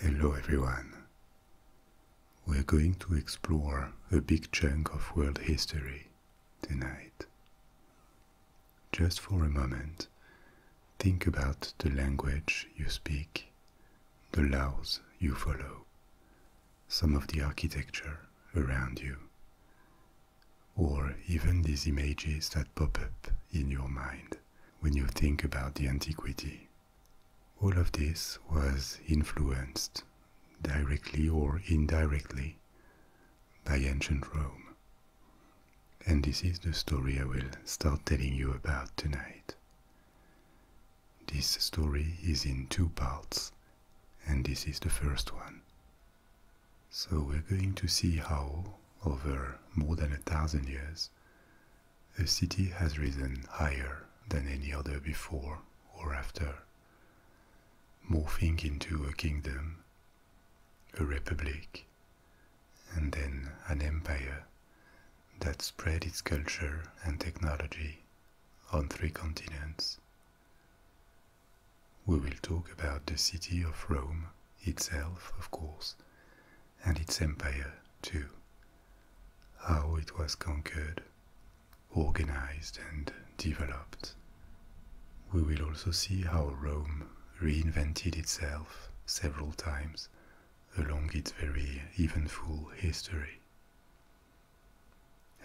Hello everyone. We're going to explore a big chunk of world history tonight. Just for a moment, think about the language you speak, the laws you follow, some of the architecture around you, or even these images that pop up in your mind when you think about the antiquity all of this was influenced, directly or indirectly, by ancient Rome. And this is the story I will start telling you about tonight. This story is in two parts, and this is the first one. So we're going to see how, over more than a thousand years, a city has risen higher than any other before or after, morphing into a kingdom, a republic, and then an empire that spread its culture and technology on three continents. We will talk about the city of Rome itself, of course, and its empire too, how it was conquered, organized, and developed. We will also see how Rome reinvented itself several times along its very eventful history.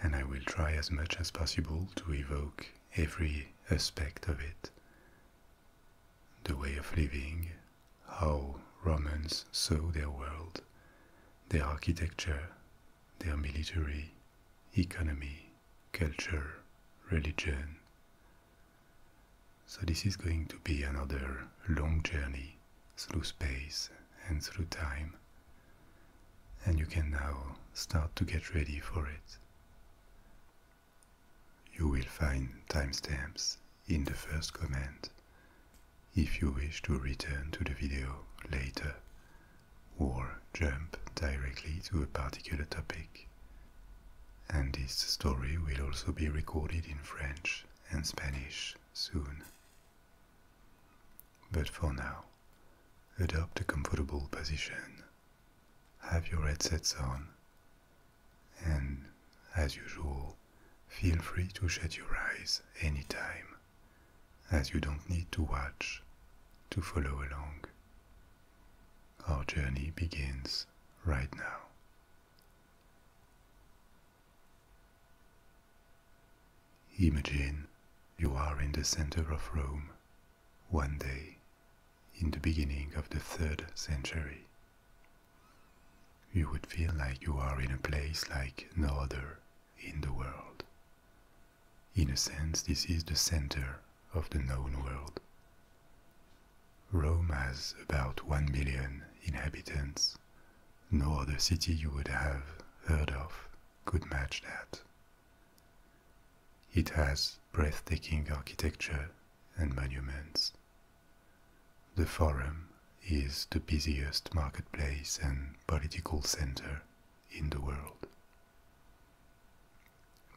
And I will try as much as possible to evoke every aspect of it the way of living, how Romans saw their world, their architecture, their military, economy, culture, religion. So, this is going to be another long journey through space and through time, and you can now start to get ready for it. You will find timestamps in the first comment if you wish to return to the video later or jump directly to a particular topic. And this story will also be recorded in French and Spanish soon. But for now, adopt a comfortable position, have your headsets on, and as usual, feel free to shut your eyes anytime, as you don't need to watch to follow along. Our journey begins right now. Imagine you are in the center of Rome one day in the beginning of the third century. You would feel like you are in a place like no other in the world. In a sense, this is the center of the known world. Rome has about 1 million inhabitants. No other city you would have heard of could match that. It has breathtaking architecture and monuments. The Forum is the busiest marketplace and political center in the world.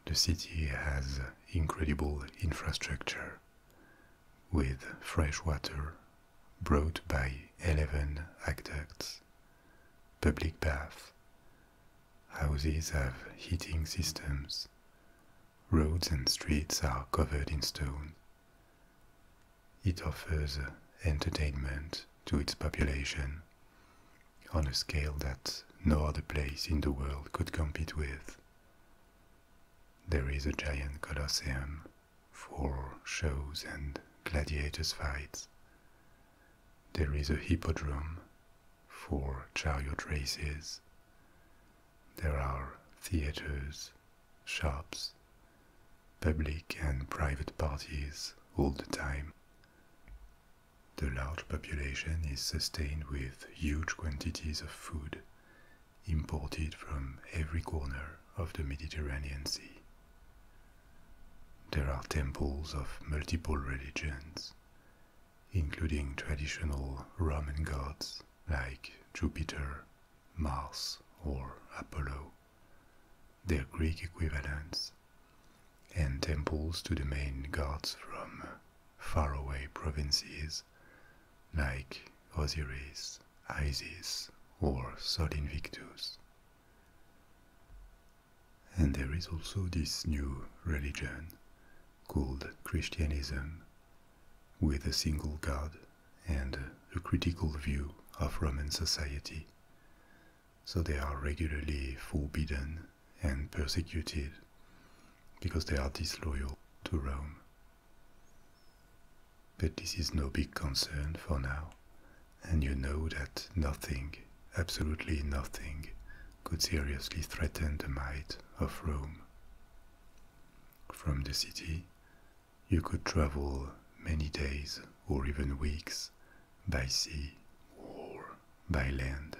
The city has incredible infrastructure with fresh water brought by 11 aqueducts, public baths. Houses have heating systems, roads and streets are covered in stone. It offers entertainment to its population on a scale that no other place in the world could compete with. There is a giant colosseum for shows and gladiators' fights. There is a hippodrome for chariot races there are theaters, shops, public and private parties all the time. The large population is sustained with huge quantities of food imported from every corner of the Mediterranean Sea. There are temples of multiple religions, including traditional Roman gods like Jupiter Mars or Apollo, their Greek equivalents, and temples to the main gods from faraway provinces like Osiris, Isis, or Sol Invictus. And there is also this new religion called Christianism with a single god and a critical view of Roman society, so they are regularly forbidden and persecuted because they are disloyal to Rome. But this is no big concern for now, and you know that nothing, absolutely nothing, could seriously threaten the might of Rome. From the city, you could travel many days or even weeks by sea or by land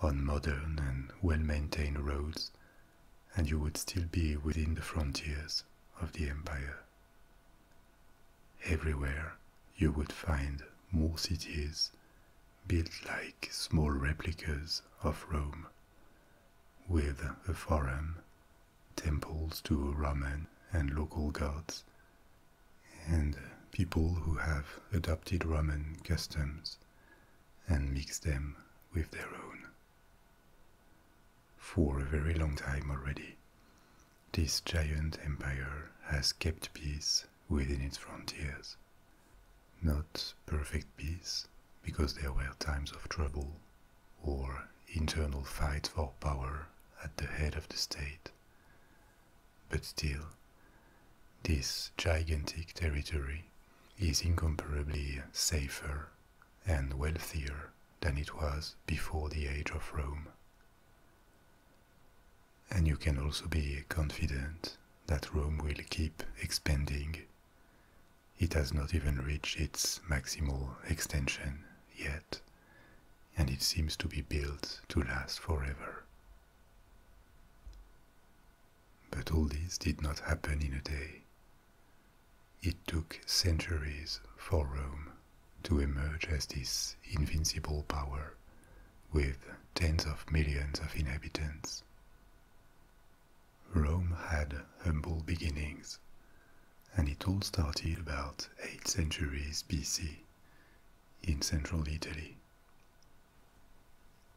on modern and well maintained roads, and you would still be within the frontiers of the empire. Everywhere you would find more cities built like small replicas of Rome, with a forum, temples to Roman and local gods, and people who have adopted Roman customs and mixed them with their own. For a very long time already, this giant empire has kept peace within its frontiers. Not perfect peace, because there were times of trouble or internal fights for power at the head of the state. But still, this gigantic territory is incomparably safer and wealthier than it was before the age of Rome. And you can also be confident that Rome will keep expanding it has not even reached its maximal extension yet, and it seems to be built to last forever. But all this did not happen in a day. It took centuries for Rome to emerge as this invincible power with tens of millions of inhabitants. Rome had humble beginnings, and it all started about 8 centuries BC in central Italy.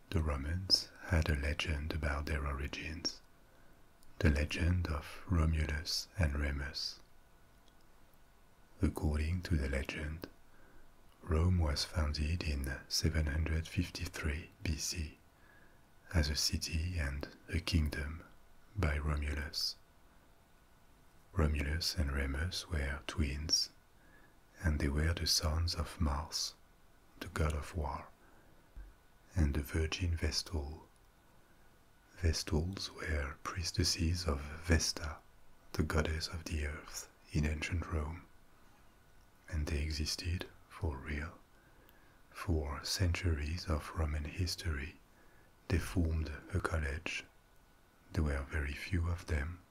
The Romans had a legend about their origins, the legend of Romulus and Remus. According to the legend, Rome was founded in 753 BC as a city and a kingdom by Romulus. Romulus and Remus were twins, and they were the sons of Mars, the god of war, and the virgin Vestal. Vestals were priestesses of Vesta, the goddess of the earth in ancient Rome, and they existed, for real, for centuries of Roman history, they formed a college. There were very few of them,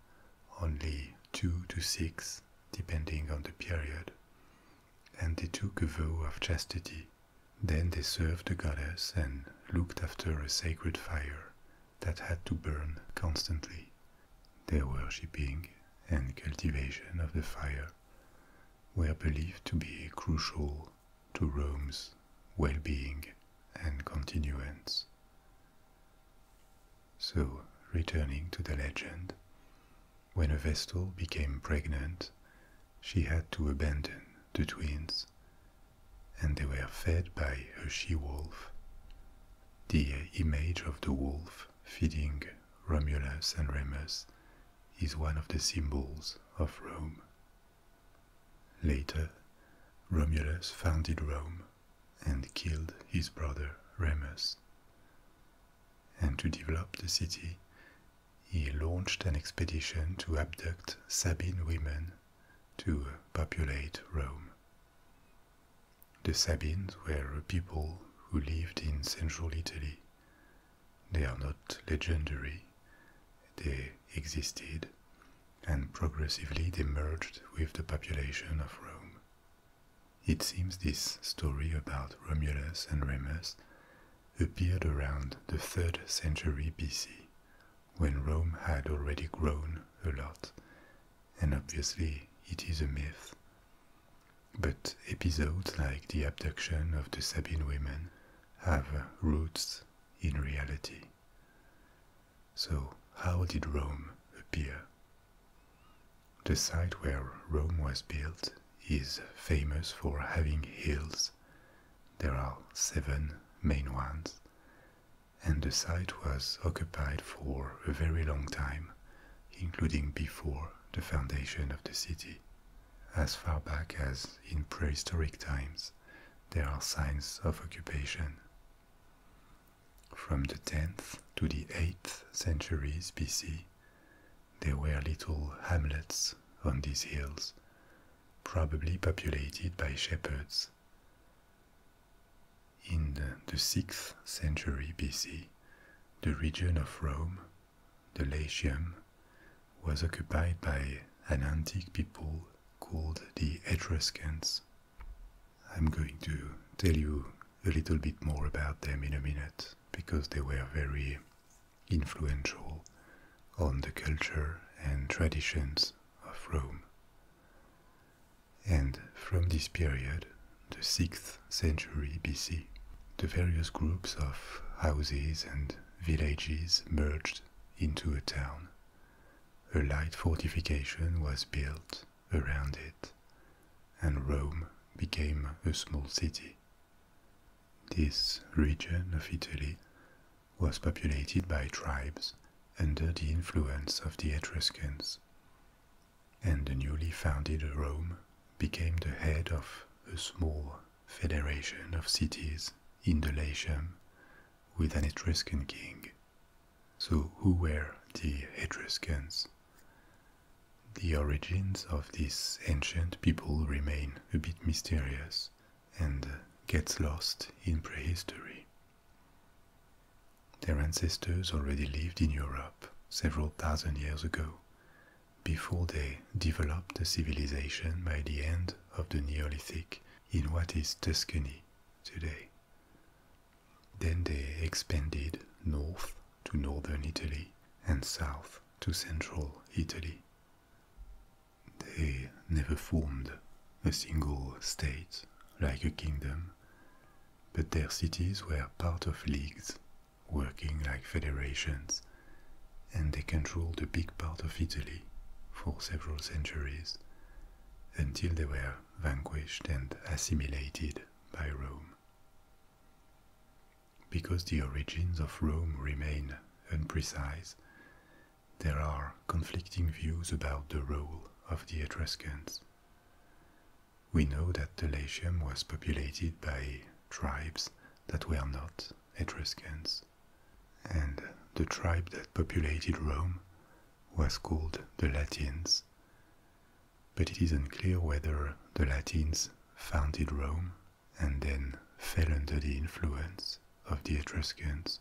only two to six, depending on the period, and they took a vow of chastity. Then they served the goddess and looked after a sacred fire that had to burn constantly. Their worshipping and cultivation of the fire were believed to be crucial to Rome's well-being and continuance. So, returning to the legend, when a Vestal became pregnant, she had to abandon the twins, and they were fed by a she-wolf, the image of the wolf feeding Romulus and Remus is one of the symbols of Rome. Later, Romulus founded Rome and killed his brother Remus. And to develop the city, he launched an expedition to abduct Sabine women to populate Rome. The Sabines were a people who lived in central Italy they are not legendary, they existed, and progressively they merged with the population of Rome. It seems this story about Romulus and Remus appeared around the 3rd century BC, when Rome had already grown a lot, and obviously it is a myth. But episodes like the abduction of the Sabine women have roots in reality. So, how did Rome appear? The site where Rome was built is famous for having hills. There are seven main ones, and the site was occupied for a very long time, including before the foundation of the city. As far back as in prehistoric times, there are signs of occupation. From the 10th to the 8th centuries BC, there were little hamlets on these hills, probably populated by shepherds. In the 6th century BC, the region of Rome the Latium was occupied by an antique people called the Etruscans. I'm going to tell you a little bit more about them in a minute because they were very influential on the culture and traditions of Rome. And from this period, the 6th century BC, the various groups of houses and villages merged into a town. A light fortification was built around it, and Rome became a small city. This region of Italy was populated by tribes under the influence of the Etruscans, and the newly founded Rome became the head of a small federation of cities in the Latium with an Etruscan king. So, who were the Etruscans? The origins of this ancient people remain a bit mysterious and gets lost in prehistory. Their ancestors already lived in Europe several thousand years ago before they developed a civilization by the end of the Neolithic in what is Tuscany today. Then they expanded north to northern Italy and south to central Italy. They never formed a single state like a kingdom, but their cities were part of leagues working like federations, and they controlled a big part of Italy for several centuries until they were vanquished and assimilated by Rome. Because the origins of Rome remain unprecise, there are conflicting views about the role of the Etruscans. We know that the Latium was populated by tribes that were not Etruscans, and the tribe that populated Rome was called the Latins. But it is unclear whether the Latins founded Rome and then fell under the influence of the Etruscans,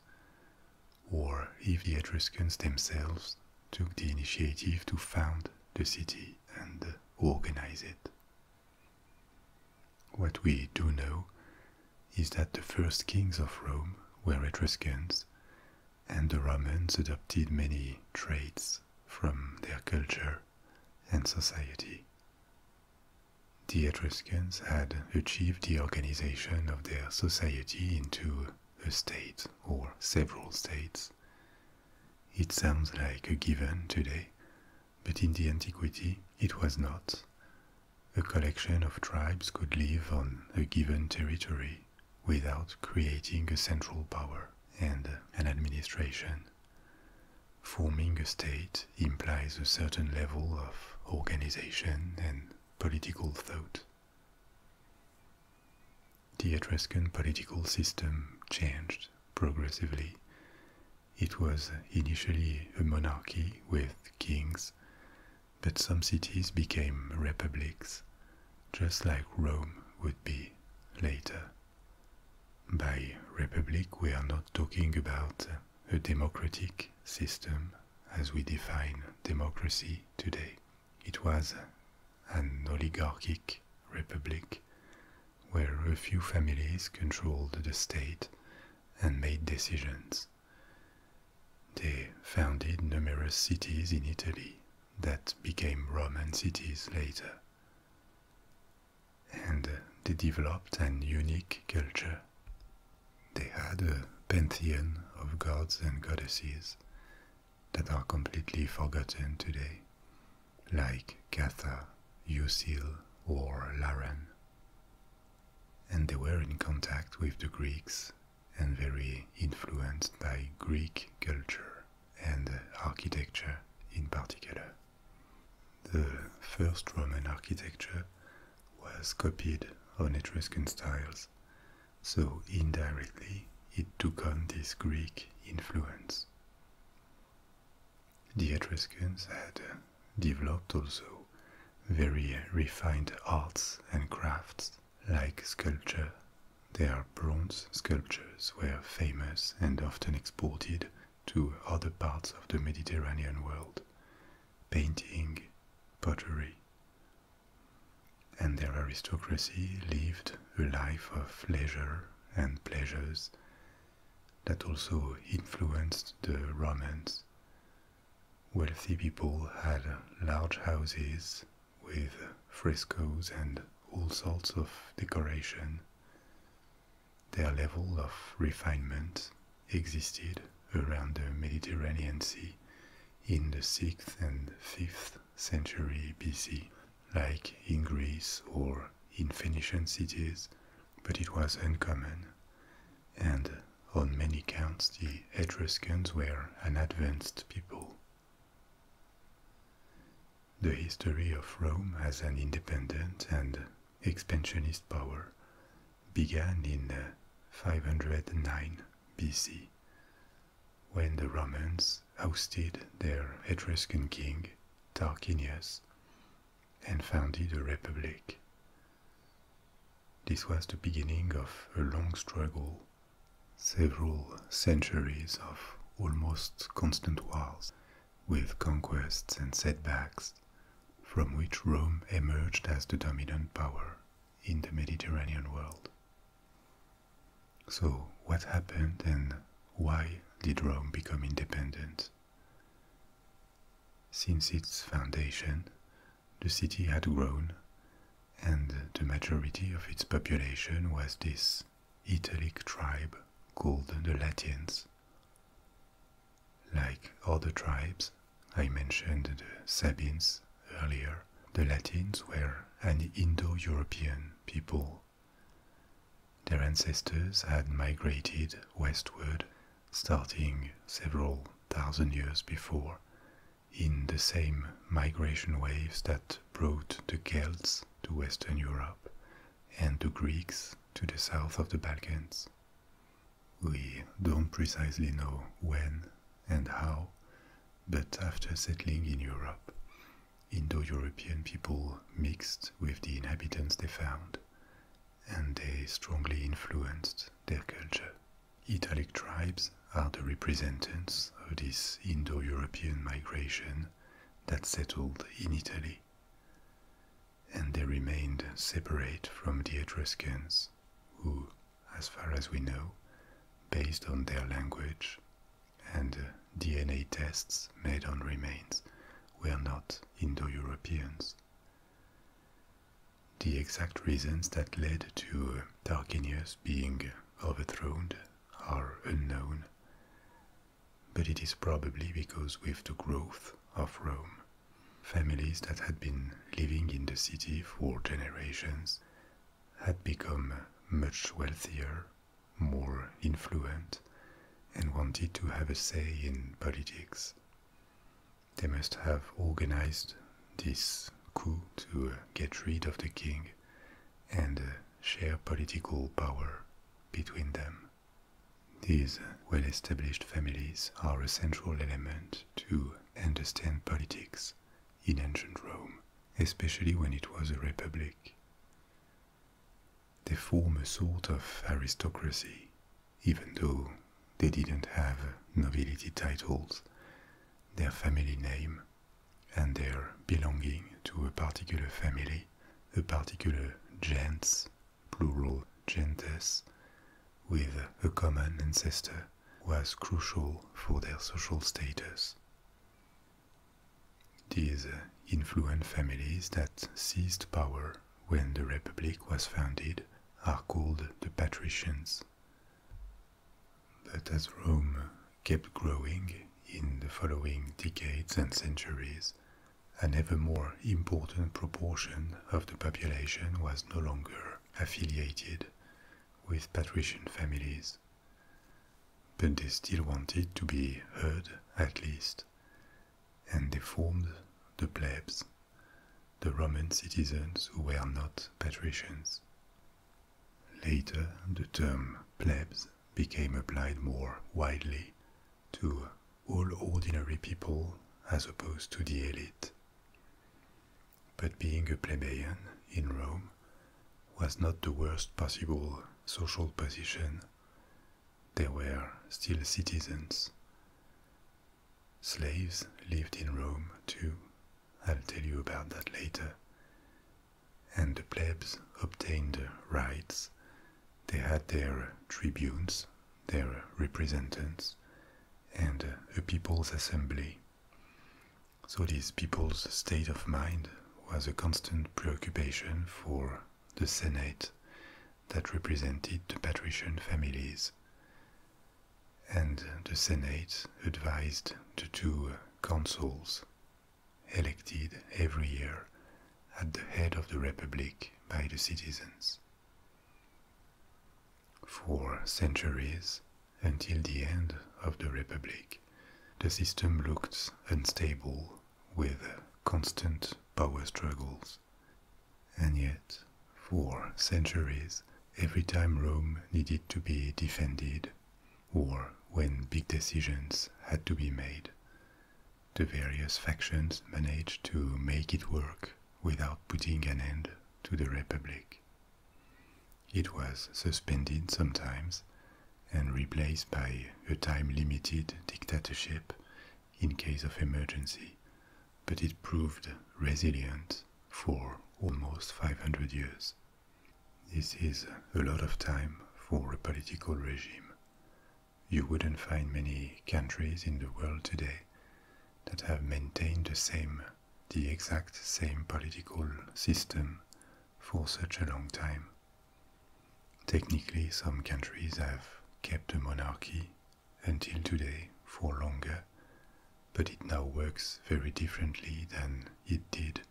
or if the Etruscans themselves took the initiative to found the city and organize it. What we do know is that the first kings of Rome were Etruscans, and the Romans adopted many traits from their culture and society. The Etruscans had achieved the organization of their society into a state or several states. It sounds like a given today, but in the antiquity it was not. A collection of tribes could live on a given territory without creating a central power and an administration. Forming a state implies a certain level of organization and political thought. The Etruscan political system changed progressively, it was initially a monarchy with kings, but some cities became republics, just like Rome would be later. By republic, we are not talking about a democratic system as we define democracy today. It was an oligarchic republic where a few families controlled the state and made decisions. They founded numerous cities in Italy that became Roman cities later. And they developed an unique culture. They had a pantheon of gods and goddesses that are completely forgotten today, like Gatha, Ucil, or Laran. And they were in contact with the Greeks and very influenced by Greek culture and architecture in particular. The first Roman architecture was copied on Etruscan styles, so indirectly it took on this Greek influence. The Etruscans had uh, developed also very uh, refined arts and crafts like sculpture. Their bronze sculptures were famous and often exported to other parts of the Mediterranean world. Painting, pottery. And their aristocracy lived a life of leisure and pleasures that also influenced the Romans. Wealthy people had large houses with frescoes and all sorts of decoration. Their level of refinement existed around the Mediterranean Sea in the 6th and 5th century BC like in Greece or in Phoenician cities, but it was uncommon. And on many counts, the Etruscans were an advanced people. The history of Rome as an independent and expansionist power began in uh, 509 BC when the Romans ousted their Etruscan king Tarquinius and founded a republic. This was the beginning of a long struggle, several centuries of almost constant wars, with conquests and setbacks, from which Rome emerged as the dominant power in the Mediterranean world. So, what happened and why did Rome become independent? Since its foundation, the city had grown, and the majority of its population was this Italic tribe called the Latins. Like other tribes, I mentioned the Sabines earlier, the Latins were an Indo European people their ancestors had migrated westward starting several thousand years before in the same migration waves that brought the Celts to Western Europe and the Greeks to the south of the Balkans. We don't precisely know when and how, but after settling in Europe, Indo European people mixed with the inhabitants they found and they strongly influenced their culture. Italic tribes are the representatives of this Indo European migration that settled in Italy, and they remained separate from the Etruscans, who, as far as we know, based on their language and DNA tests made on remains were not Indo Europeans. The exact reasons that led to Tarquinius being overthrown are unknown, but it is probably because with the growth of Rome, families that had been living in the city for generations had become much wealthier more influential, and wanted to have a say in politics. They must have organized this coup to uh, get rid of the king and uh, share political power between them. These well established families are a central element to understand politics in ancient Rome, especially when it was a republic. They form a sort of aristocracy, even though they didn't have nobility titles, their family name, and their belonging to a particular family, a particular gens, plural gentes, with a common ancestor was crucial for their social status these uh, influential families that seized power when the Republic was founded are called the patricians. But as Rome kept growing in the following decades and centuries, an ever more important proportion of the population was no longer affiliated with patrician families. But they still wanted to be heard, at least, and they formed the plebs, the Roman citizens who were not patricians. Later, the term plebs became applied more widely to all ordinary people as opposed to the elite. But being a plebeian in Rome was not the worst possible social position they were still citizens. Slaves lived in Rome too, I'll tell you about that later. And the plebs obtained rights. They had their tribunes, their representatives, and a people's assembly. So this people's state of mind was a constant preoccupation for the Senate that represented the patrician families. And the Senate advised the two consuls, elected every year at the head of the Republic by the citizens. For centuries, until the end of the Republic, the system looked unstable with constant power struggles. And yet, for centuries, every time Rome needed to be defended, or when big decisions had to be made, the various factions managed to make it work without putting an end to the Republic. It was suspended sometimes and replaced by a time limited dictatorship in case of emergency, but it proved resilient for almost 500 years. This is a lot of time for a political regime. You wouldn't find many countries in the world today that have maintained the same, the exact same political system for such a long time. Technically, some countries have kept a monarchy until today for longer, but it now works very differently than it did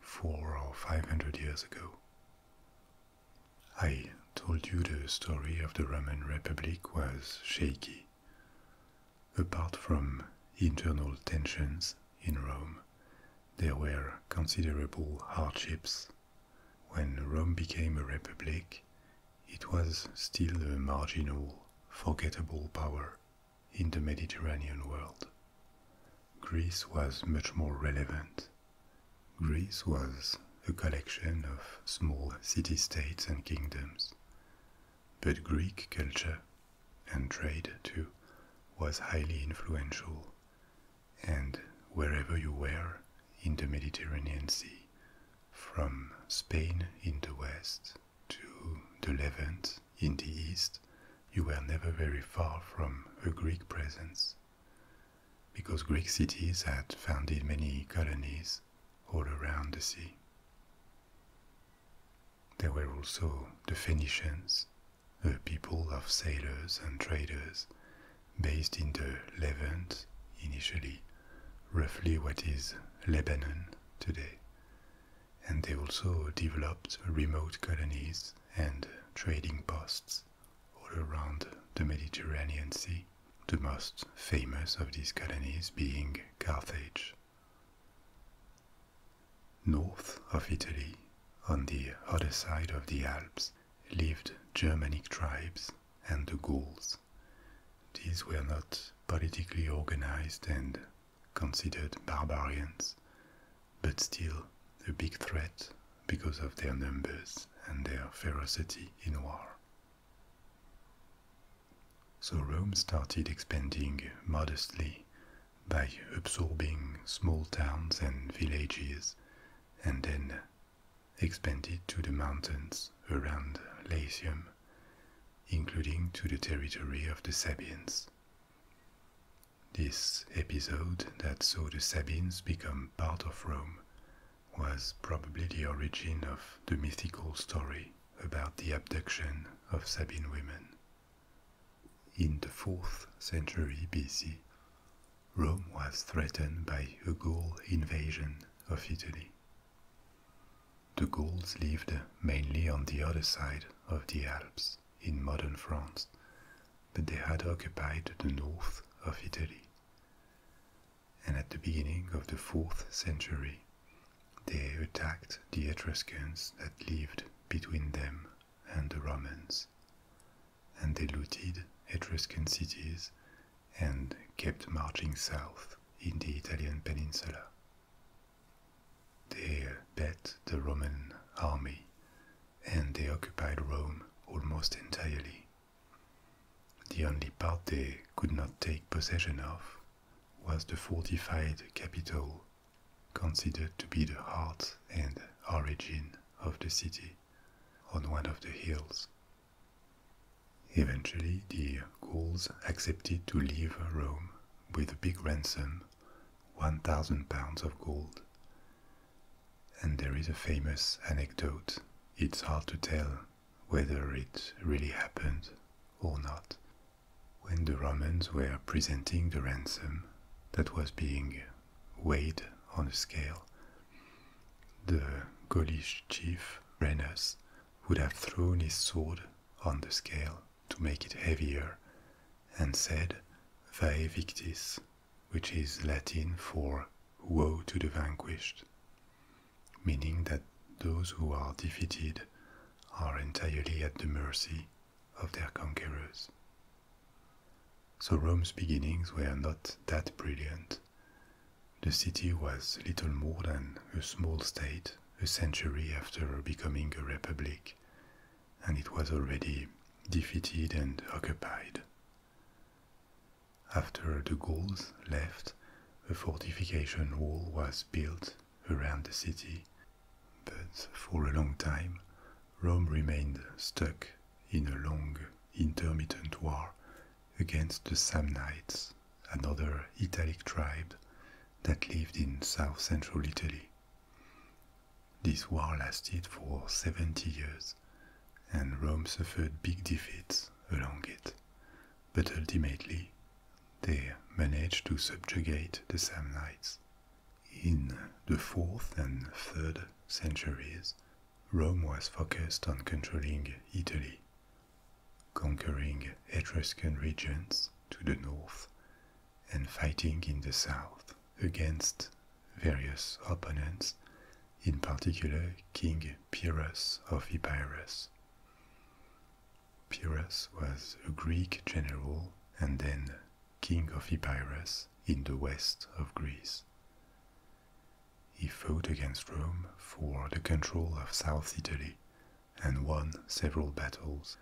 four or five hundred years ago. I told you the story of the Roman Republic was shaky. Apart from internal tensions in Rome, there were considerable hardships when Rome became a republic, it was still a marginal, forgettable power in the Mediterranean world. Greece was much more relevant. Greece was a collection of small city-states and kingdoms. But Greek culture, and trade too, was highly influential, and wherever you were in the Mediterranean Sea, from Spain in the west to the Levant in the east, you were never very far from a Greek presence. Because Greek cities had founded many colonies all around the sea. There were also the Phoenicians, a people of sailors and traders based in the Levant initially, roughly what is Lebanon today. And they also developed remote colonies and trading posts all around the Mediterranean Sea, the most famous of these colonies being Carthage. North of Italy, on the other side of the Alps, lived Germanic tribes and the Gauls. These were not politically organized and considered barbarians, but still a big threat because of their numbers and their ferocity in war. So Rome started expanding modestly by absorbing small towns and villages and then expanded to the mountains around Latium, including to the territory of the Sabines. This episode that saw the Sabines become part of Rome was probably the origin of the mythical story about the abduction of Sabine women. In the 4th century BC, Rome was threatened by a Gaul invasion of Italy. The Gauls lived mainly on the other side of the Alps in modern France, but they had occupied the north of Italy. And at the beginning of the fourth century, they attacked the Etruscans that lived between them and the Romans and they looted Etruscan cities and kept marching south in the Italian peninsula. They beat the Roman army and they occupied Rome almost entirely. The only part they could not take possession of was the fortified capital, considered to be the heart and origin of the city, on one of the hills Eventually, the Gauls accepted to leave Rome with a big ransom, 1,000 pounds of gold. And there is a famous anecdote. It's hard to tell whether it really happened or not. When the Romans were presenting the ransom that was being weighed on a scale, the Gaulish chief Renus would have thrown his sword on the scale to make it heavier and said, Vae victis, which is Latin for woe to the vanquished, meaning that those who are defeated are entirely at the mercy of their conquerors so Rome's beginnings were not that brilliant. The city was little more than a small state a century after becoming a republic, and it was already defeated and occupied. After the Gauls left, a fortification wall was built around the city, but for a long time Rome remained stuck in a long intermittent war against the Samnites, another Italic tribe that lived in south central Italy. This war lasted for 70 years, and Rome suffered big defeats along it, but ultimately they managed to subjugate the Samnites. In the 4th and 3rd centuries, Rome was focused on controlling Italy, conquering Etruscan regions to the north, and fighting in the south against various opponents, in particular King Pyrrhus of Epirus. Pyrrhus was a Greek general and then king of Epirus in the west of Greece. He fought against Rome for the control of South Italy and won several battles,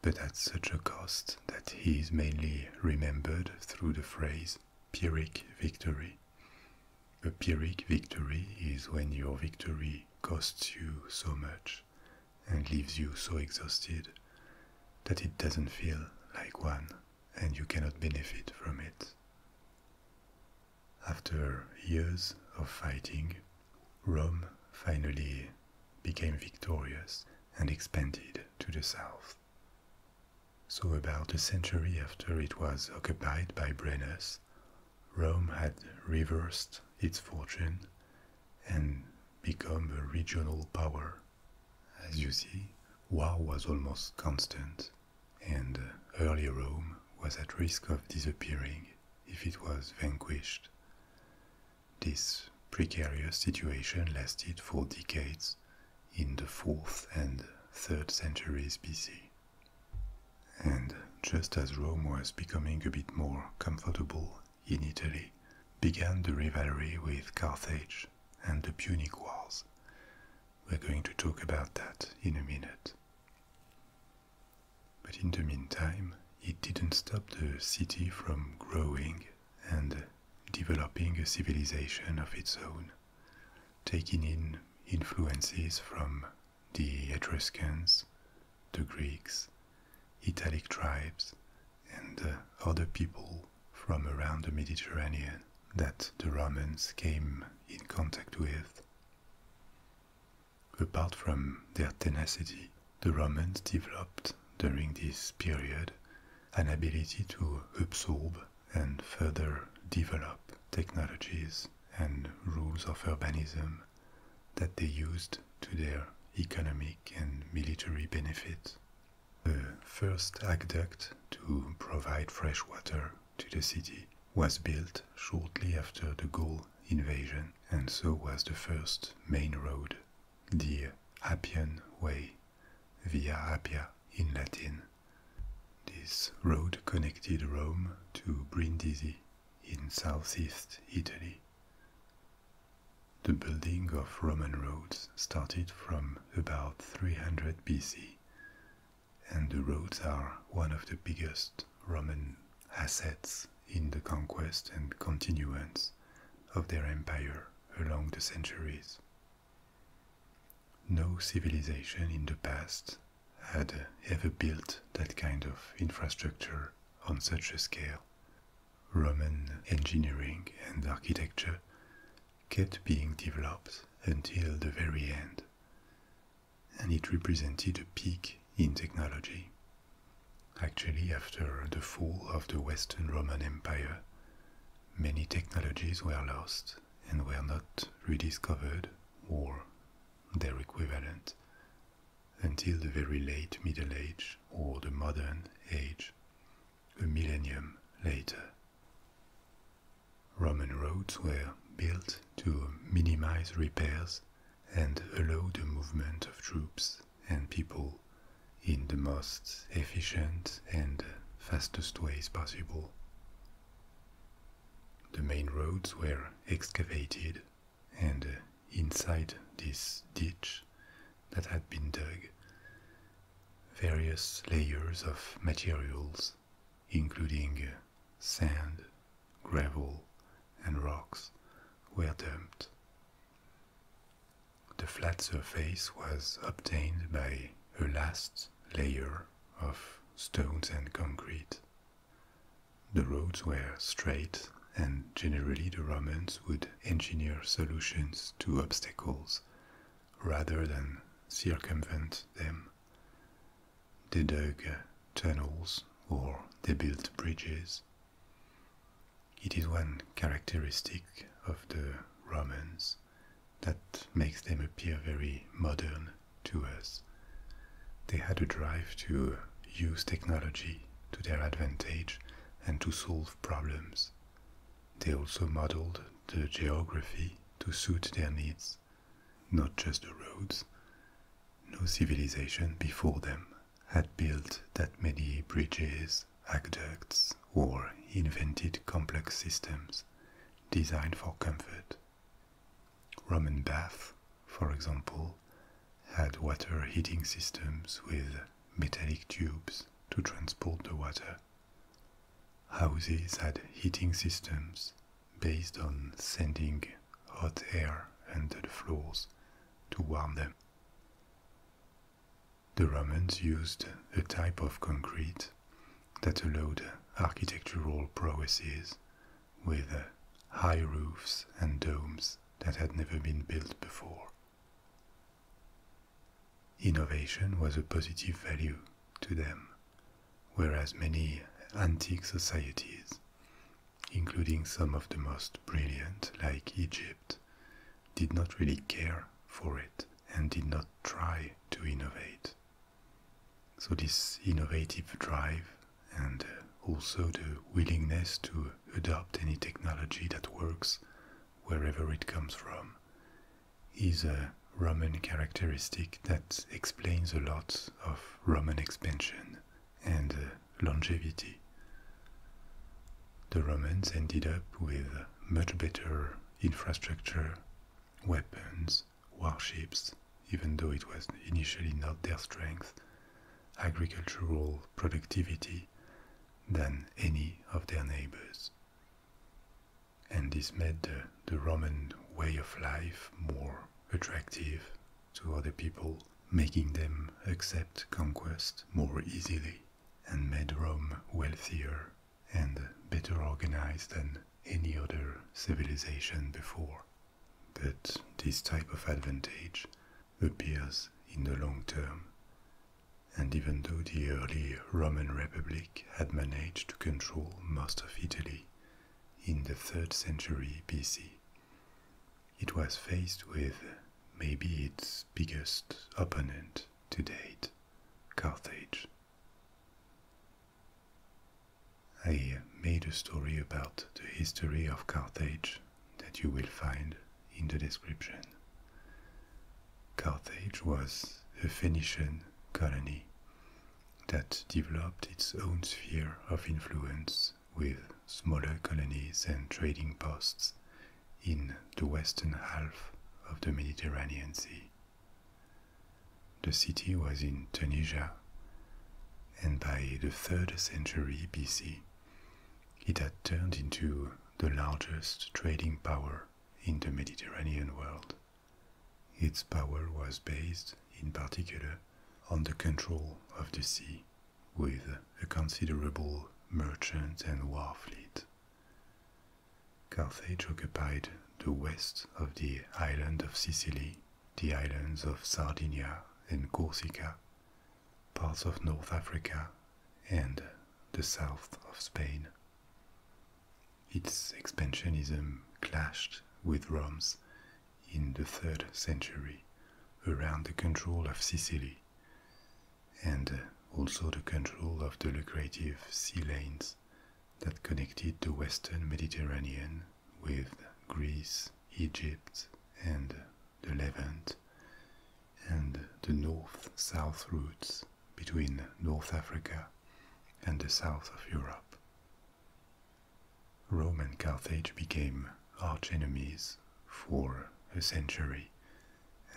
but at such a cost that he is mainly remembered through the phrase Pyrrhic victory. A Pyrrhic victory is when your victory costs you so much and leaves you so exhausted that it doesn't feel like one and you cannot benefit from it. After years of fighting, Rome finally became victorious and expanded to the south. So about a century after it was occupied by Brennus, Rome had reversed its fortune and become a regional power. As you see, war was almost constant and uh, early Rome was at risk of disappearing if it was vanquished. This precarious situation lasted for decades in the 4th and 3rd centuries BC. And just as Rome was becoming a bit more comfortable in Italy, began the rivalry with Carthage and the Punic Wars, we're going to talk about that in a minute. But in the meantime, it didn't stop the city from growing and developing a civilization of its own, taking in influences from the Etruscans, the Greeks, Italic tribes, and uh, other people from around the Mediterranean that the Romans came in contact with. Apart from their tenacity, the Romans developed during this period an ability to absorb and further develop technologies and rules of urbanism that they used to their economic and military benefit. The first aqueduct to provide fresh water to the city was built shortly after the Gaul invasion, and so was the first main road, the Appian Way, via Appia in Latin. This road connected Rome to Brindisi in southeast Italy. The building of Roman roads started from about 300 BC and the roads are one of the biggest Roman assets in the conquest and continuance of their empire along the centuries. No civilization in the past had ever built that kind of infrastructure on such a scale. Roman engineering and architecture kept being developed until the very end and it represented a peak in technology. Actually, after the fall of the Western Roman Empire, many technologies were lost and were not rediscovered or their equivalent until the very late Middle Age or the modern age, a millennium later. Roman roads were built to minimize repairs and allow the movement of troops and people in the most efficient and fastest ways possible. The main roads were excavated, and inside this ditch that had been dug, various layers of materials including sand, gravel, and rocks, were dumped. The flat surface was obtained by a last layer of stones and concrete. The roads were straight, and generally the Romans would engineer solutions to obstacles rather than circumvent them. The dug tunnels or the built bridges. It is one characteristic of the Romans that makes them appear very modern to us. They had a drive to use technology to their advantage and to solve problems. They also modeled the geography to suit their needs not just the roads. No civilization before them had built that many bridges, aqueducts, or invented complex systems designed for comfort. Roman baths, for example, had water heating systems with metallic tubes to transport the water Houses had heating systems based on sending hot air under the floors to warm them. The Romans used a type of concrete that allowed architectural prowesses with high roofs and domes that had never been built before. Innovation was a positive value to them whereas many antique societies, including some of the most brilliant like Egypt, did not really care for it and did not try to innovate. So, this innovative drive and uh, also the willingness to adopt any technology that works wherever it comes from is a Roman characteristic that explains a lot of Roman expansion and uh, longevity. The Romans ended up with much better infrastructure, weapons, warships, even though it was initially not their strength, agricultural productivity than any of their neighbors and this made the, Roman way of life more attractive to other people, making them accept conquest more easily, and made Rome wealthier and better organized than any other civilization before. But this type of advantage appears in the long term. And even though the early Roman Republic had managed to control most of Italy, in the 3rd century BC. It was faced with maybe its biggest opponent to date, Carthage. I made a story about the history of Carthage that you will find in the description. Carthage was a Phoenician colony that developed its own sphere of influence with smaller colonies and trading posts in the western half of the Mediterranean Sea. The city was in Tunisia, and by the 3rd century BC, it had turned into the largest trading power in the Mediterranean world. Its power was based, in particular, on the control of the sea, with a considerable merchant and war fleet. Carthage occupied the west of the island of Sicily, the islands of Sardinia and Corsica, parts of North Africa, and the south of Spain. Its expansionism clashed with Rome's in the third century around the control of Sicily and uh, also the control of the lucrative sea lanes that connected the western Mediterranean with Greece, Egypt, and the Levant, and the north south routes between North Africa and the south of Europe. Rome and Carthage became archenemies for a century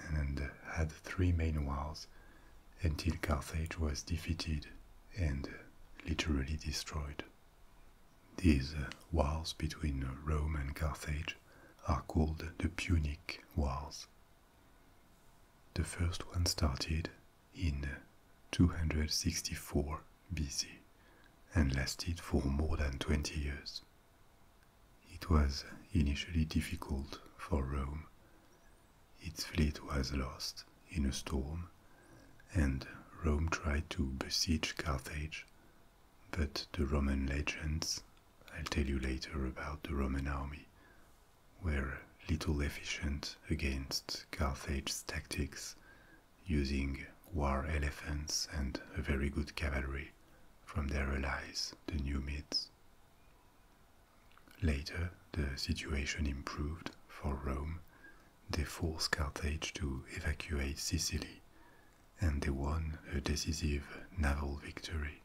and had three main wars until Carthage was defeated and literally destroyed. These wars between Rome and Carthage are called the Punic Wars. The first one started in 264 BC and lasted for more than 20 years. It was initially difficult for Rome. Its fleet was lost in a storm, and Rome tried to besiege Carthage, but the Roman legions I'll tell you later about the Roman army, were little efficient against Carthage's tactics, using war elephants and a very good cavalry from their allies, the Numids. Later, the situation improved for Rome. They forced Carthage to evacuate Sicily, and they won a decisive naval victory.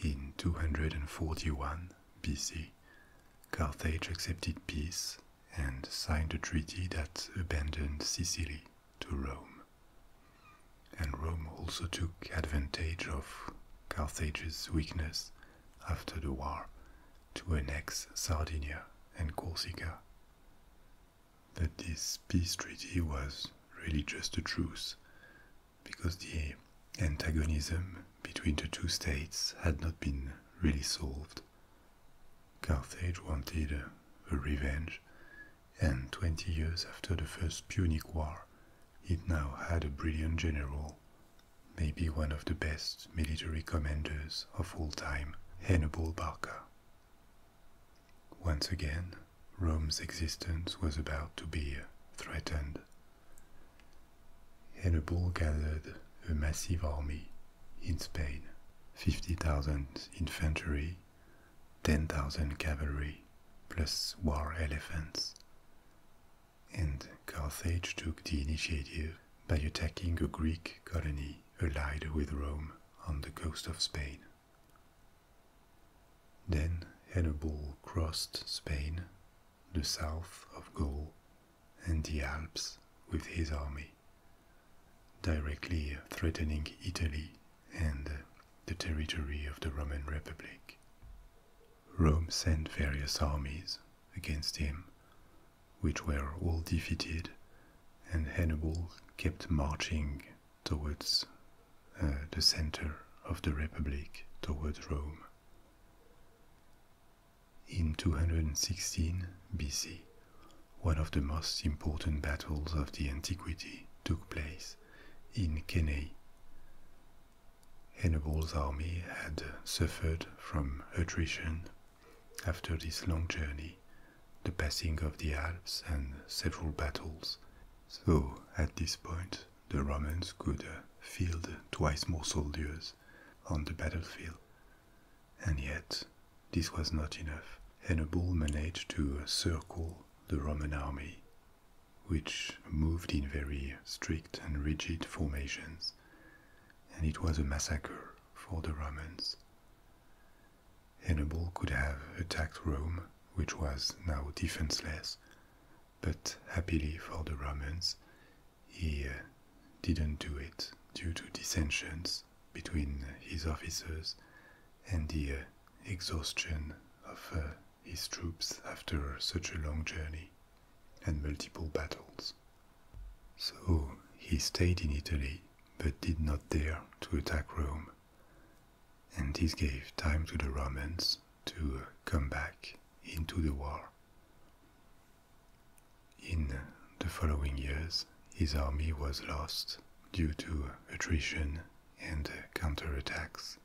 In 241 BC, Carthage accepted peace and signed a treaty that abandoned Sicily to Rome. And Rome also took advantage of Carthage's weakness after the war to annex Sardinia and Corsica. But this peace treaty was really just a truce because the antagonism between the two states had not been really solved. Carthage wanted a, revenge, and 20 years after the First Punic War, it now had a brilliant general, maybe one of the best military commanders of all time, Hannibal Barca. Once again, Rome's existence was about to be threatened Hannibal gathered a massive army in Spain 50,000 infantry, 10,000 cavalry, plus war elephants. And Carthage took the initiative by attacking a Greek colony allied with Rome on the coast of Spain. Then Hannibal crossed Spain the south of Gaul, and the Alps with his army, directly threatening Italy and the territory of the Roman Republic. Rome sent various armies against him, which were all defeated, and Hannibal kept marching towards uh, the center of the Republic, towards Rome. In 216 BC, one of the most important battles of the antiquity took place in Cannae. Hannibal's army had suffered from attrition after this long journey, the passing of the Alps, and several battles. So, at this point, the Romans could uh, field twice more soldiers on the battlefield. And yet, this was not enough. Hannibal managed to circle the Roman army, which moved in very strict and rigid formations, and it was a massacre for the Romans. Hannibal could have attacked Rome, which was now defenseless, but happily for the Romans, he uh, didn't do it due to dissensions between his officers and the uh, exhaustion of uh, his troops after such a long journey and multiple battles. So he stayed in Italy but did not dare to attack Rome, and this gave time to the Romans to come back into the war. In the following years, his army was lost due to attrition and counterattacks,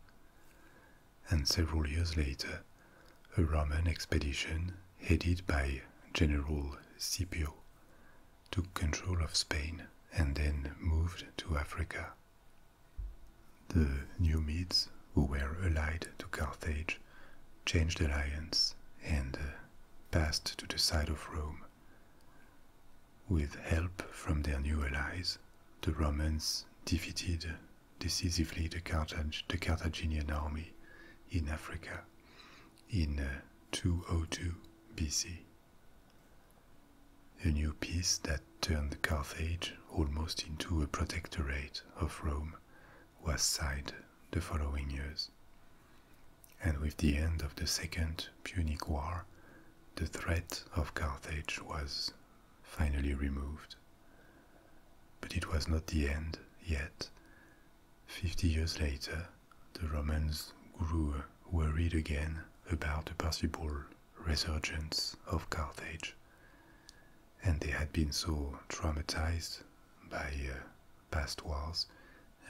and several years later, a Roman expedition headed by General Scipio took control of Spain and then moved to Africa. The Numids, who were allied to Carthage, changed alliance and uh, passed to the side of Rome. With help from their new allies, the Romans defeated decisively the, the Carthaginian army in Africa in uh, 202 BC. A new peace that turned Carthage almost into a protectorate of Rome was sighed the following years. And with the end of the Second Punic War, the threat of Carthage was finally removed. But it was not the end yet. Fifty years later, the Romans grew worried again about the possible resurgence of Carthage and they had been so traumatized by uh, past wars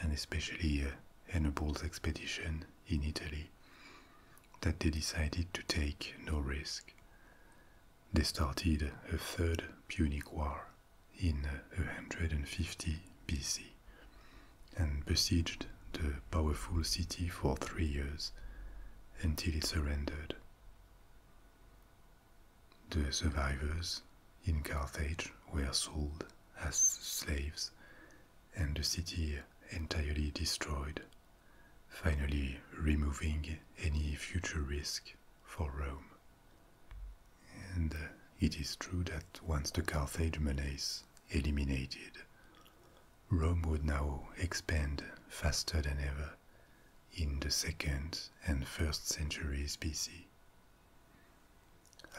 and especially uh, Hannibal's expedition in Italy that they decided to take no risk. They started a third Punic War in 150 uh, BC and besieged the powerful city for three years until it surrendered. The survivors in Carthage were sold as slaves and the city entirely destroyed, finally removing any future risk for Rome. And it is true that once the Carthaginians eliminated, Rome would now expand faster than ever in the second and first centuries BC.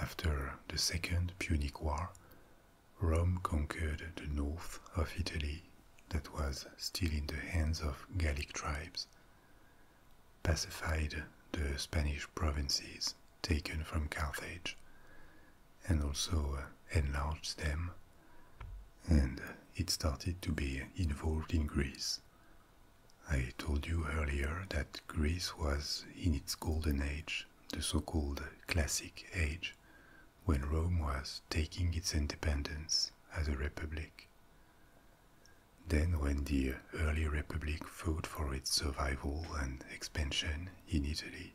After the Second Punic War, Rome conquered the north of Italy that was still in the hands of Gallic tribes, pacified the Spanish provinces taken from Carthage, and also uh, enlarged them and it started to be involved in Greece. I told you earlier that Greece was in its golden age, the so-called classic age, when Rome was taking its independence as a republic. Then when the early republic fought for its survival and expansion in Italy,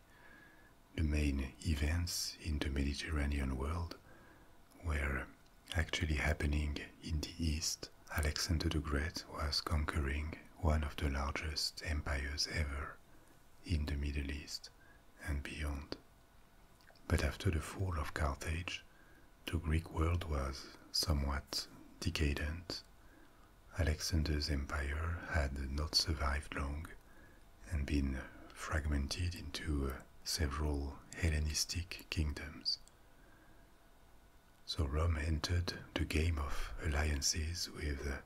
the main events in the Mediterranean world were actually happening in the East, Alexander the Great was conquering one of the largest empires ever in the Middle East and beyond. But after the fall of Carthage, the Greek world was somewhat decadent. Alexander's empire had not survived long and been fragmented into uh, several Hellenistic kingdoms. So Rome entered the game of alliances with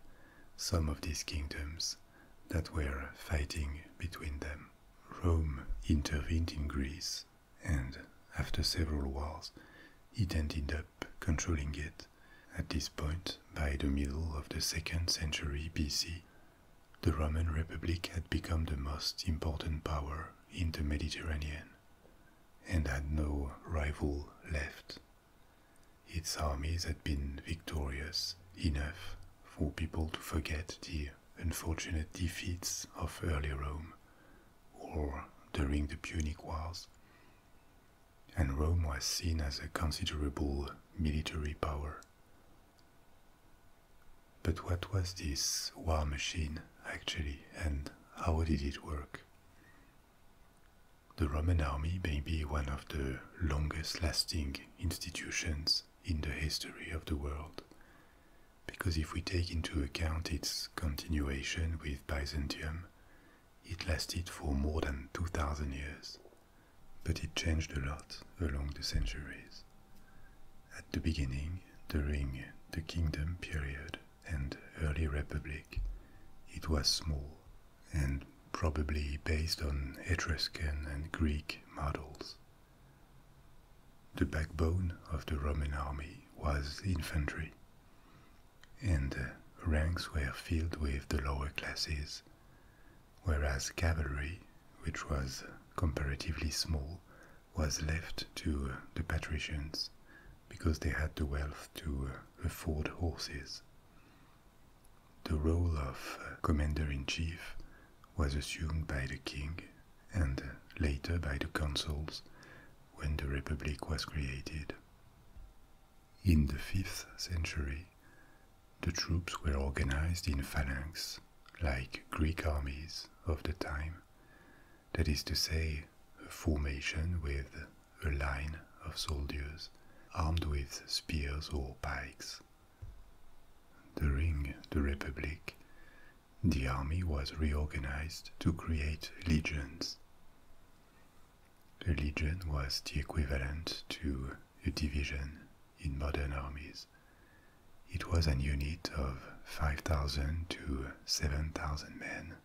some of these kingdoms that were fighting between them. Rome intervened in Greece, and after several wars, it ended up controlling it at this point by the middle of the second century BC the Roman Republic had become the most important power in the Mediterranean and had no rival left. Its armies had been victorious enough for people to forget the unfortunate defeats of early Rome or during the Punic Wars. And Rome was seen as a considerable military power, but what was this war machine actually, and how did it work? The Roman army may be one of the longest lasting institutions in the history of the world, because if we take into account its continuation with Byzantium, it lasted for more than 2000 years, but it changed a lot along the centuries. At the beginning, during the kingdom period and early republic, it was small and probably based on Etruscan and Greek models. The backbone of the Roman army was infantry, and ranks were filled with the lower classes, whereas cavalry, which was comparatively small, was left to uh, the patricians because they had the wealth to uh, afford horses. The role of uh, commander in chief was assumed by the king and later by the consuls when the republic was created. In the 5th century, the troops were organized in phalanx, like Greek armies, of the time, that is to say, a formation with a line of soldiers armed with spears or pikes. During the Republic, the army was reorganized to create legions. A legion was the equivalent to a division in modern armies. It was an unit of 5,000 to 7,000 men.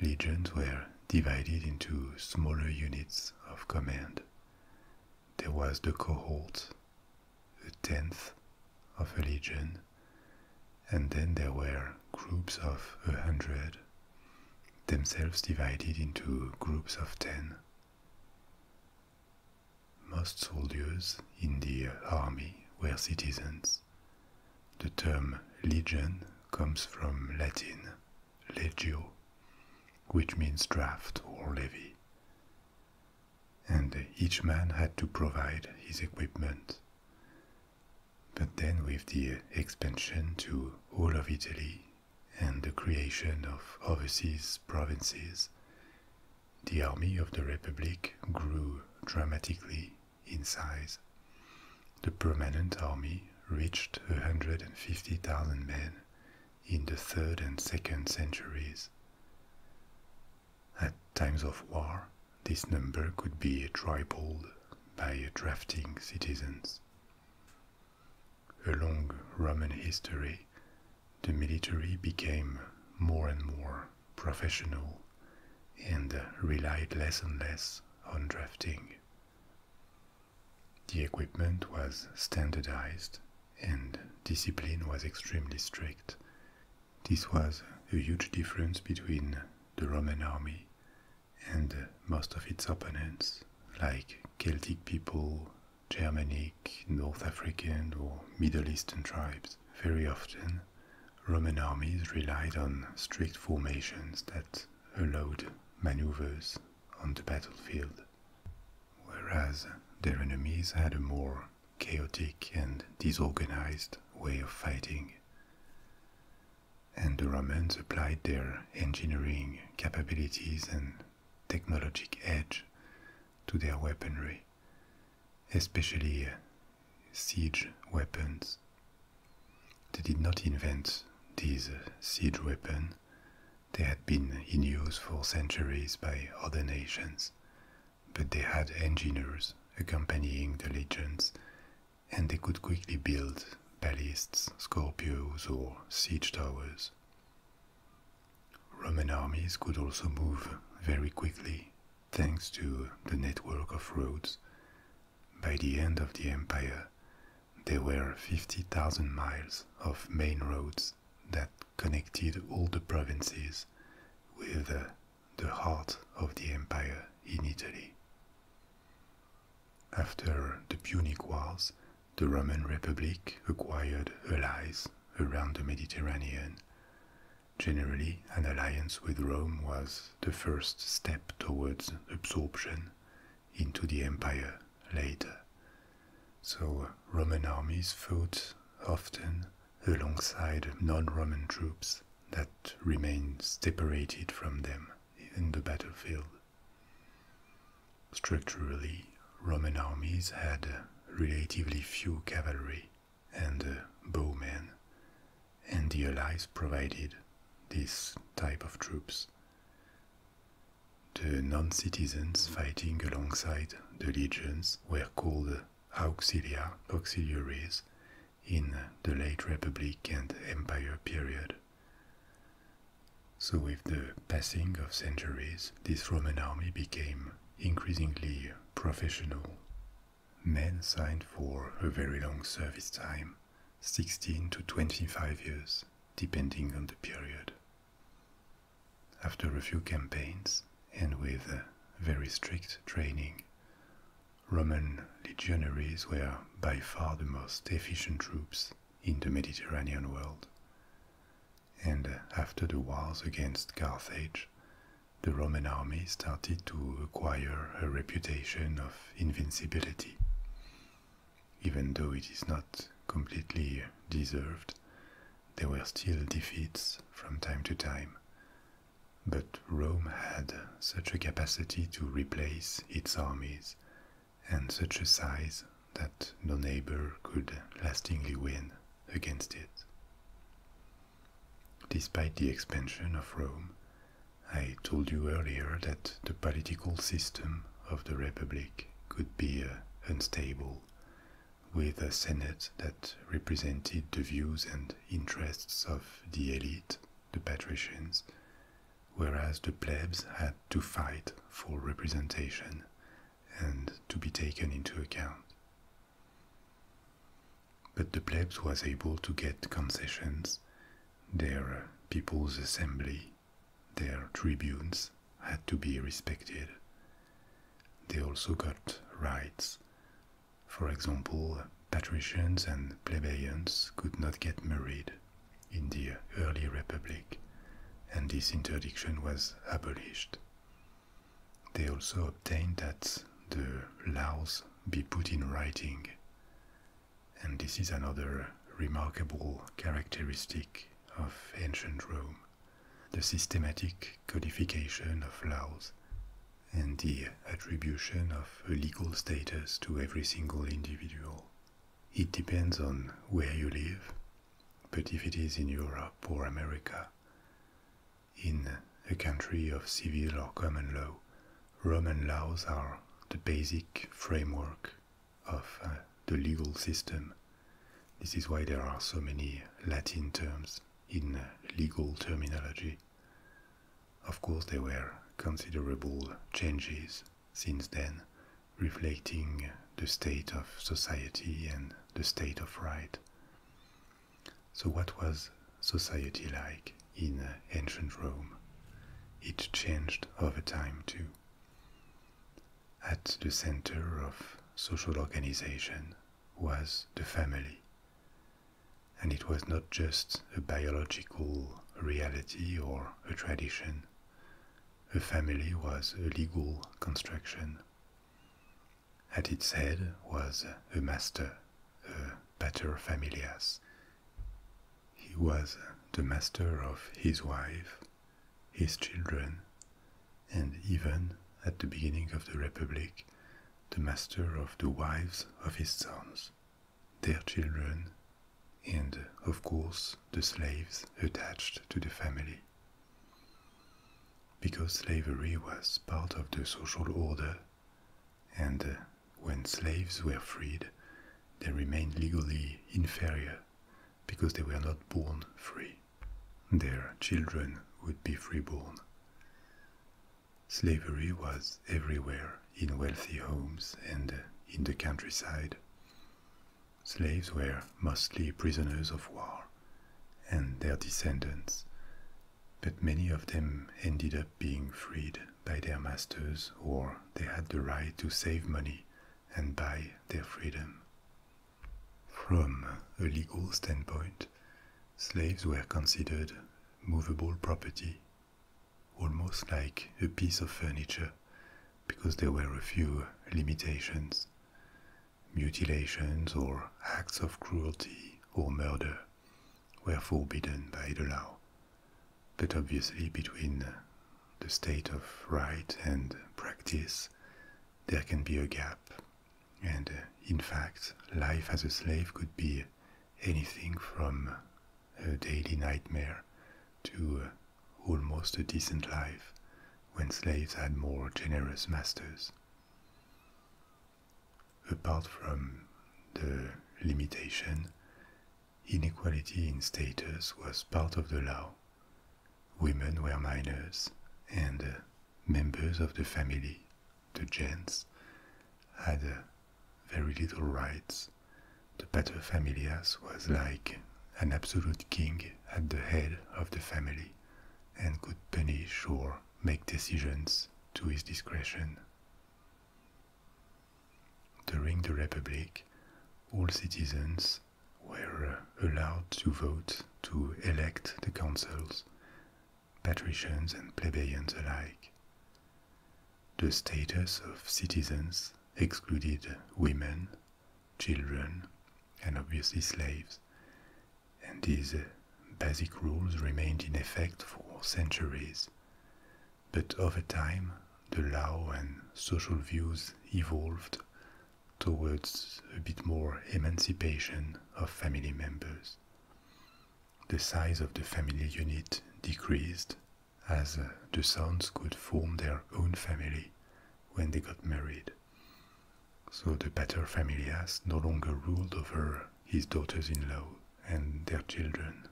Legions were divided into smaller units of command. There was the cohort, a tenth of a legion, and then there were groups of a hundred, themselves divided into groups of ten. Most soldiers in the army were citizens. The term legion comes from Latin legio, which means draft or levy. And each man had to provide his equipment. But then, with the expansion to all of Italy and the creation of overseas provinces, the army of the Republic grew dramatically in size. The permanent army reached 150,000 men in the third and second centuries. At times of war, this number could be tripled by drafting citizens. long Roman history, the military became more and more professional and relied less and less on drafting. The equipment was standardized and discipline was extremely strict. This was a huge difference between the Roman army and most of its opponents, like Celtic people Germanic, North African, or Middle Eastern tribes. Very often, Roman armies relied on strict formations that allowed maneuvers on the battlefield, whereas their enemies had a more chaotic and disorganized way of fighting. And the Romans applied their engineering capabilities and technologic edge to their weaponry, especially uh, siege weapons. They did not invent these uh, siege weapons, they had been in use for centuries by other nations, but they had engineers accompanying the legions, and they could quickly build ballists, scorpios, or siege towers. Roman armies could also move very quickly thanks to the network of roads. By the end of the empire, there were 50,000 miles of main roads that connected all the provinces with the heart of the empire in Italy. After the Punic Wars, the Roman Republic acquired allies around the Mediterranean. Generally, an alliance with Rome was the first step towards absorption into the empire later. So, Roman armies fought often alongside non Roman troops that remained separated from them in the battlefield. Structurally, Roman armies had relatively few cavalry and uh, bowmen, and the Allies provided this type of troops. The non-citizens fighting alongside the legions were called auxilia, auxiliaries, in the late Republic and Empire period. So with the passing of centuries, this Roman army became increasingly professional. Men signed for a very long service time, 16 to 25 years, depending on the period. After a few campaigns, and with a uh, very strict training, Roman legionaries were by far the most efficient troops in the Mediterranean world and uh, after the wars against Carthage, the Roman army started to acquire a reputation of invincibility. Even though it is not completely deserved, there were still defeats from time to time. But Rome had such a capacity to replace its armies and such a size that no neighbor could lastingly win against it. Despite the expansion of Rome, I told you earlier that the political system of the Republic could be uh, unstable, with a Senate that represented the views and interests of the elite, the patricians, whereas the plebs had to fight for representation and to be taken into account. But the plebs was able to get concessions. Their people's assembly, their tribunes had to be respected. They also got rights. For example, patricians and plebeians could not get married in the early republic, and this interdiction was abolished. They also obtained that the laws be put in writing. And this is another remarkable characteristic of ancient Rome the systematic codification of laws and the attribution of a legal status to every single individual. It depends on where you live, but if it is in Europe or America, in a country of civil or common law, Roman laws are the basic framework of uh, the legal system. This is why there are so many Latin terms in legal terminology. Of course, there were considerable changes since then, reflecting the state of society and the state of right. So, what was society like in ancient Rome? It changed over time too. At the center of social organization was the family. And it was not just a biological reality or a tradition. A family was a legal construction. At its head was the master, the a paterfamilias. He was the master of his wife, his children, and even at the beginning of the Republic, the master of the wives of his sons, their children, and of course the slaves attached to the family. Because slavery was part of the social order, and uh, when slaves were freed, they remained legally inferior because they were not born free. Their children would be freeborn. Slavery was everywhere in wealthy homes and uh, in the countryside. Slaves were mostly prisoners of war, and their descendants, but many of them ended up being freed by their masters or they had the right to save money and buy their freedom. From a legal standpoint, slaves were considered movable property, almost like a piece of furniture, because there were a few limitations mutilations or acts of cruelty or murder were forbidden by the law. But obviously, between the state of right and practice, there can be a gap. And uh, in fact, life as a slave could be anything from a daily nightmare to uh, almost a decent life when slaves had more generous masters. Apart from the limitation, inequality in status was part of the law. Women were minors, and uh, members of the family, the gens, had uh, very little rights. The paterfamilias was like an absolute king at the head of the family and could punish or make decisions to his discretion. During the Republic, all citizens were allowed to vote to elect the consuls, patricians and plebeians alike. The status of citizens excluded women, children, and obviously slaves, and these uh, basic rules remained in effect for centuries. But over time, the law and social views evolved towards a bit more emancipation of family members. The size of the family unit decreased as uh, the sons could form their own family when they got married. So the pater familias no longer ruled over his daughters in law and their children.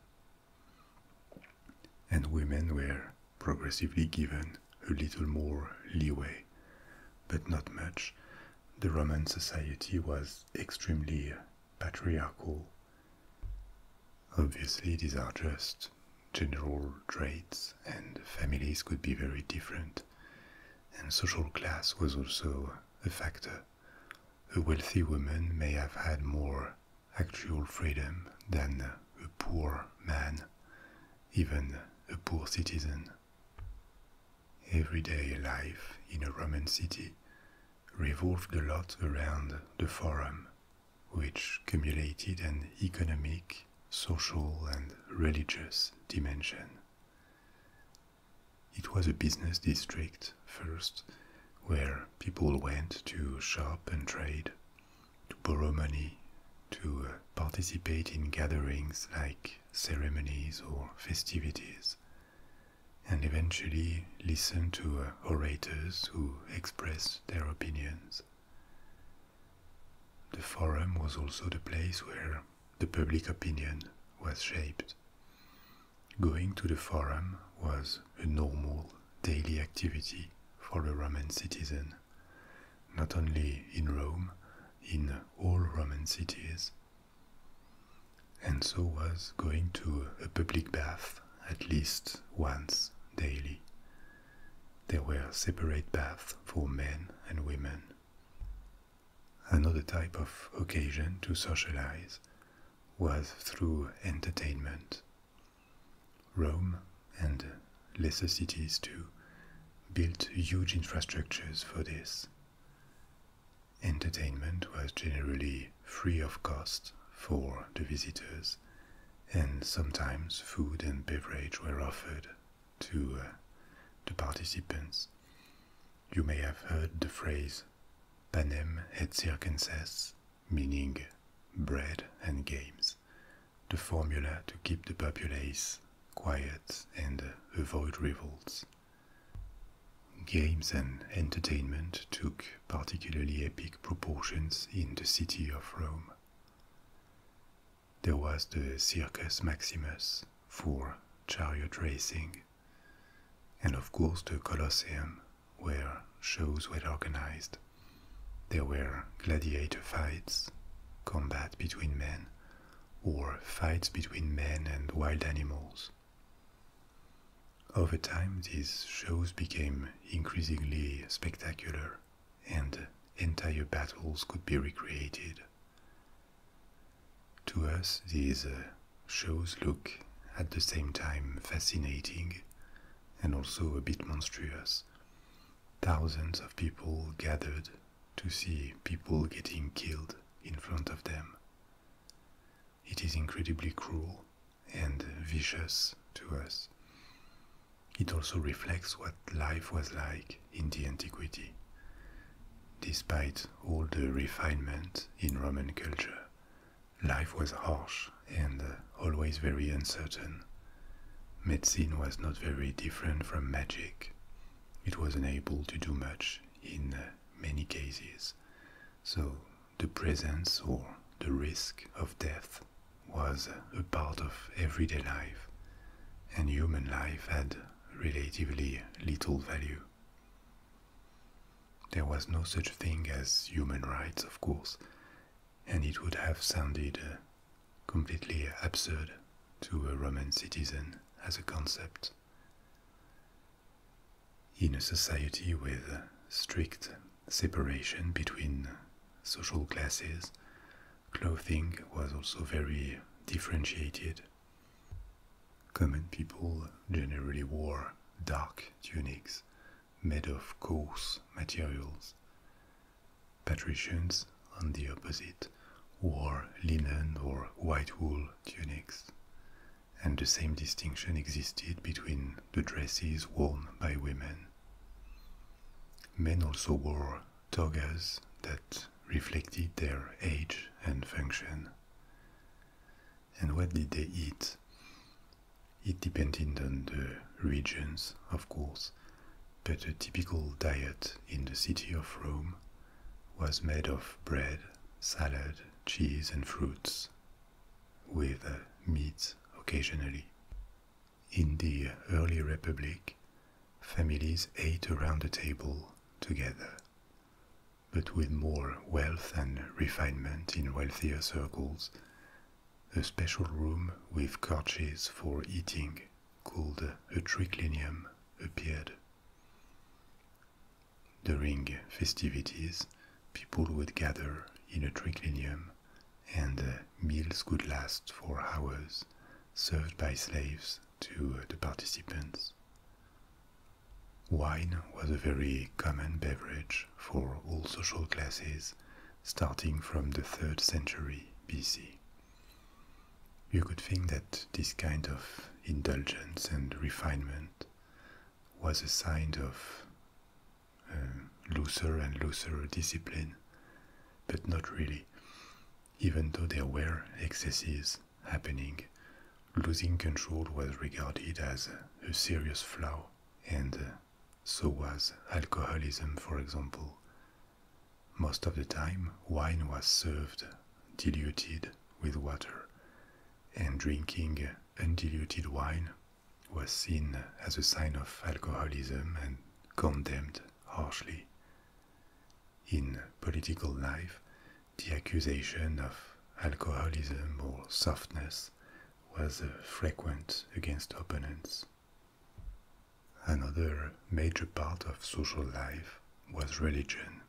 And women were progressively given a little more leeway, but not much. The Roman society was extremely patriarchal. Obviously, these are just general traits, and families could be very different and social class was also a factor. A wealthy woman may have had more actual freedom than a poor man, even a poor citizen. Everyday life in a Roman city revolved a lot around the Forum, which cumulated an economic, social, and religious dimension. It was a business district first, where people went to shop and trade, to borrow money, to uh, participate in gatherings like ceremonies or festivities, and eventually listen to uh, orators who expressed their opinions. The forum was also the place where the public opinion was shaped. Going to the forum was a normal daily activity for a Roman citizen, not only in Rome, in all Roman cities. And so was going to a public bath at least once daily. There were separate baths for men and women. Another type of occasion to socialize was through entertainment. Rome and lesser cities too built huge infrastructures for this. Entertainment was generally free of cost for the visitors, and sometimes food and beverage were offered to uh, the participants. You may have heard the phrase panem et circenses, meaning bread and games, the formula to keep the populace quiet and avoid revolts. Games and entertainment took particularly epic proportions in the city of Rome. There was the Circus Maximus for chariot racing, and of course the Colosseum, where shows were organized. There were gladiator fights, combat between men, or fights between men and wild animals. Over time, these shows became increasingly spectacular, and entire battles could be recreated to us, these uh, shows look at the same time fascinating and also a bit monstrous. Thousands of people gathered to see people getting killed in front of them. It is incredibly cruel and vicious to us. It also reflects what life was like in the antiquity, despite all the refinement in Roman culture. Life was harsh and uh, always very uncertain. Medicine was not very different from magic. It was unable to do much in uh, many cases, so the presence or the risk of death was uh, a part of everyday life, and human life had relatively little value. There was no such thing as human rights, of course, and it would have sounded uh, completely absurd to a Roman citizen as a concept. In a society with uh, strict separation between social classes, clothing was also very differentiated Common people generally wore dark tunics made of coarse materials. Patricians, on the opposite, wore linen or white wool tunics, and the same distinction existed between the dresses worn by women. Men also wore togas that reflected their age and function. And what did they eat? It depended on the regions, of course, but a typical diet in the city of Rome was made of bread, salad, cheese, and fruits, with uh, meat occasionally. In the early Republic, families ate around the table together. But with more wealth and refinement in wealthier circles, a special room with couches for eating, called a triclinium, appeared. During festivities, people would gather in a triclinium, and meals could last for hours, served by slaves to uh, the participants. Wine was a very common beverage for all social classes starting from the 3rd century BC. You could think that this kind of indulgence and refinement was a sign of uh, looser and looser discipline, but not really, even though there were excesses happening, losing control was regarded as a serious flaw, and so was alcoholism, for example. Most of the time, wine was served diluted with water, and drinking undiluted wine was seen as a sign of alcoholism and condemned harshly. In political life, the accusation of alcoholism or softness was frequent against opponents. Another major part of social life was religion.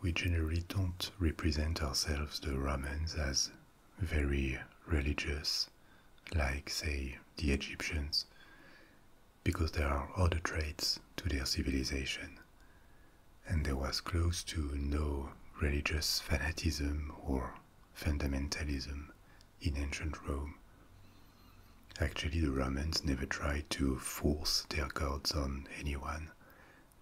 We generally don't represent ourselves, the Romans, as very religious, like, say, the Egyptians because there are other traits to their civilization, and there was close to no religious fanatism or fundamentalism in ancient Rome. Actually, the Romans never tried to force their gods on anyone.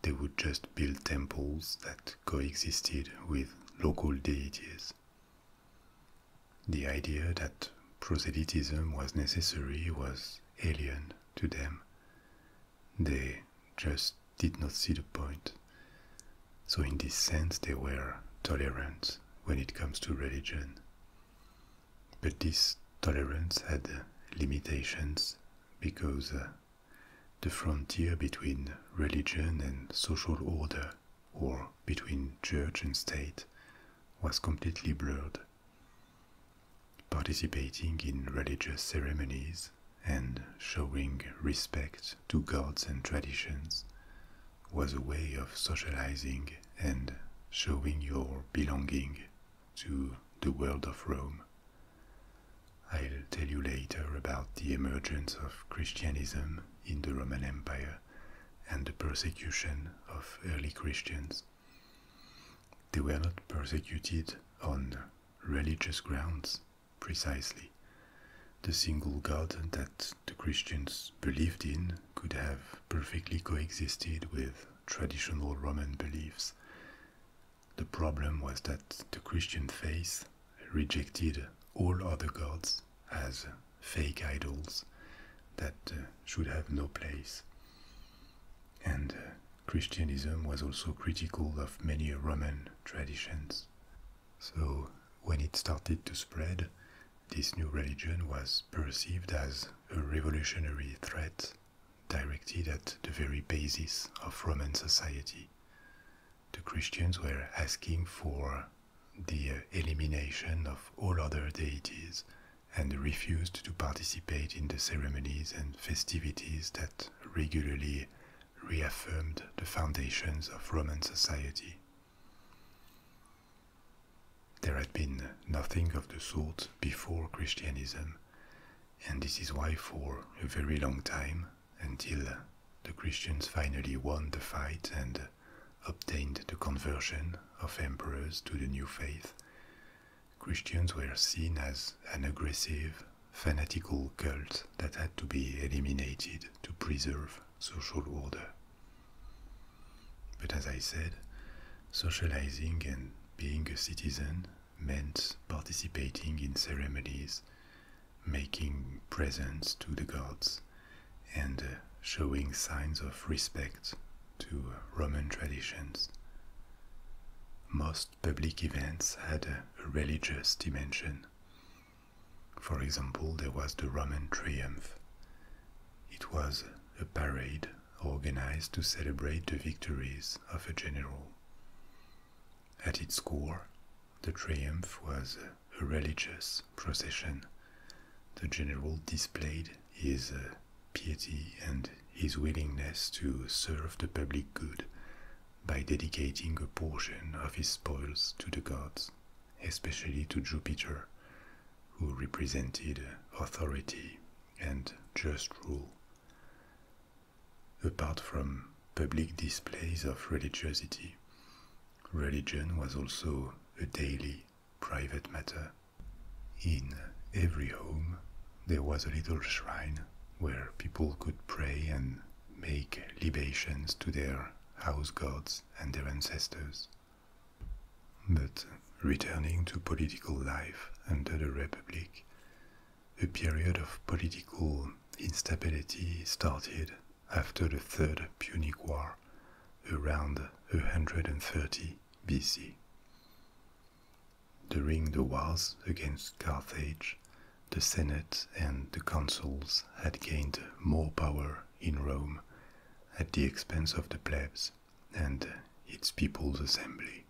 They would just build temples that coexisted with local deities. The idea that proselytism was necessary was alien to them. They just did not see the point. So, in this sense, they were tolerant when it comes to religion. But this tolerance had limitations because uh, the frontier between religion and social order, or between church and state, was completely blurred participating in religious ceremonies and showing respect to gods and traditions was a way of socializing and showing your belonging to the world of Rome. I'll tell you later about the emergence of Christianism in the Roman Empire and the persecution of early Christians. They were not persecuted on religious grounds, precisely. The single God that the Christians believed in could have perfectly coexisted with traditional Roman beliefs. The problem was that the Christian faith rejected all other gods as fake idols that uh, should have no place and uh, Christianism was also critical of many Roman traditions. So, when it started to spread, this new religion was perceived as a revolutionary threat directed at the very basis of Roman society. The Christians were asking for the uh, elimination of all other deities and refused to participate in the ceremonies and festivities that regularly reaffirmed the foundations of Roman society. There had been nothing of the sort before Christianism, and this is why, for a very long time, until the Christians finally won the fight and obtained the conversion of emperors to the new faith, Christians were seen as an aggressive, fanatical cult that had to be eliminated to preserve social order. But as I said, socializing and being a citizen meant participating in ceremonies, making presents to the gods, and uh, showing signs of respect to Roman traditions. Most public events had a religious dimension. For example, there was the Roman Triumph. It was a parade organized to celebrate the victories of a general. At its core, the triumph was a religious procession. The general displayed his uh, piety and his willingness to serve the public good by dedicating a portion of his spoils to the gods, especially to Jupiter, who represented authority and just rule. Apart from public displays of religiosity, religion was also a daily, private matter. In every home, there was a little shrine where people could pray and make libations to their house gods and their ancestors. But returning to political life under the Republic, a period of political instability started after the Third Punic War around 130 BC. During the wars against Carthage, the Senate and the consuls had gained more power in Rome at the expense of the plebs and its people's assembly.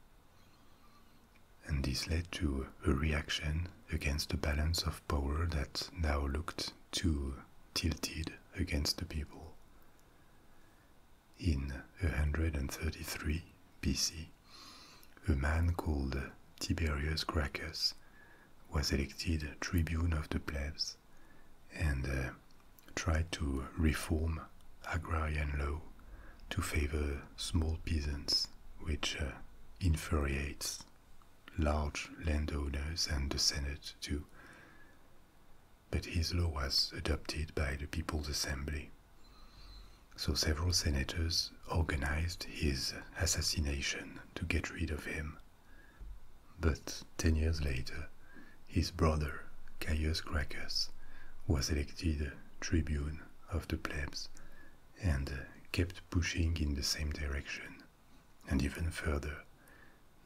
And this led to a reaction against the balance of power that now looked too tilted against the people in 133 BC, a man called Tiberius Gracchus was elected tribune of the plebs and uh, tried to reform agrarian law to favor small peasants, which uh, infuriates large landowners and the Senate too but his law was adopted by the People's Assembly. So several senators organized his assassination to get rid of him. But ten years later, his brother, Caius Gracchus, was elected tribune of the plebs and kept pushing in the same direction. And even further,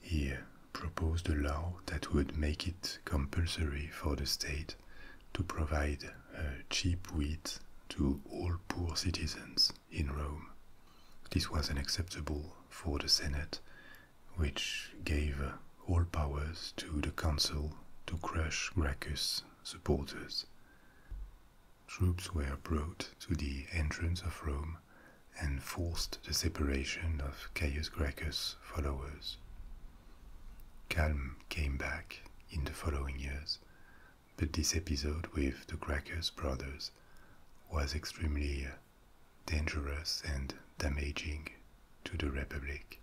he proposed a law that would make it compulsory for the state to provide uh, cheap wheat to all poor citizens in Rome. This was unacceptable for the Senate, which gave all powers to the Council to crush Gracchus' supporters. Troops were brought to the entrance of Rome and forced the separation of Caius Gracchus' followers. Calm came back in the following years, but this episode with the Gracchus brothers was extremely uh, dangerous and damaging to the Republic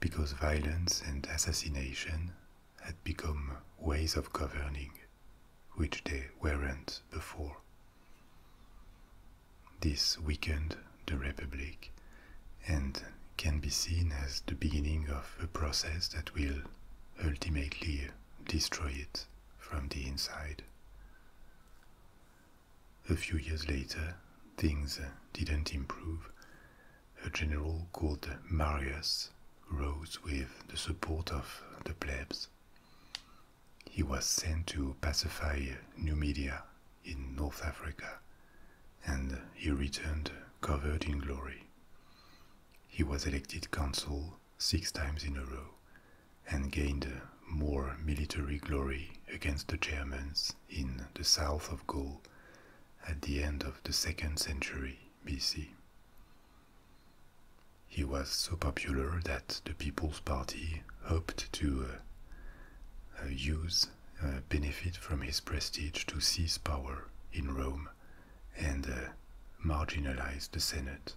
because violence and assassination had become ways of governing, which they weren't before. This weakened the Republic and can be seen as the beginning of a process that will ultimately destroy it from the inside. A few years later, things didn't improve. A general called Marius rose with the support of the plebs. He was sent to pacify Numidia in North Africa, and he returned covered in glory. He was elected consul six times in a row and gained more military glory against the Germans in the south of Gaul at the end of the second century BC. He was so popular that the People's Party hoped to uh, uh, use benefit from his prestige to seize power in Rome and uh, marginalize the Senate.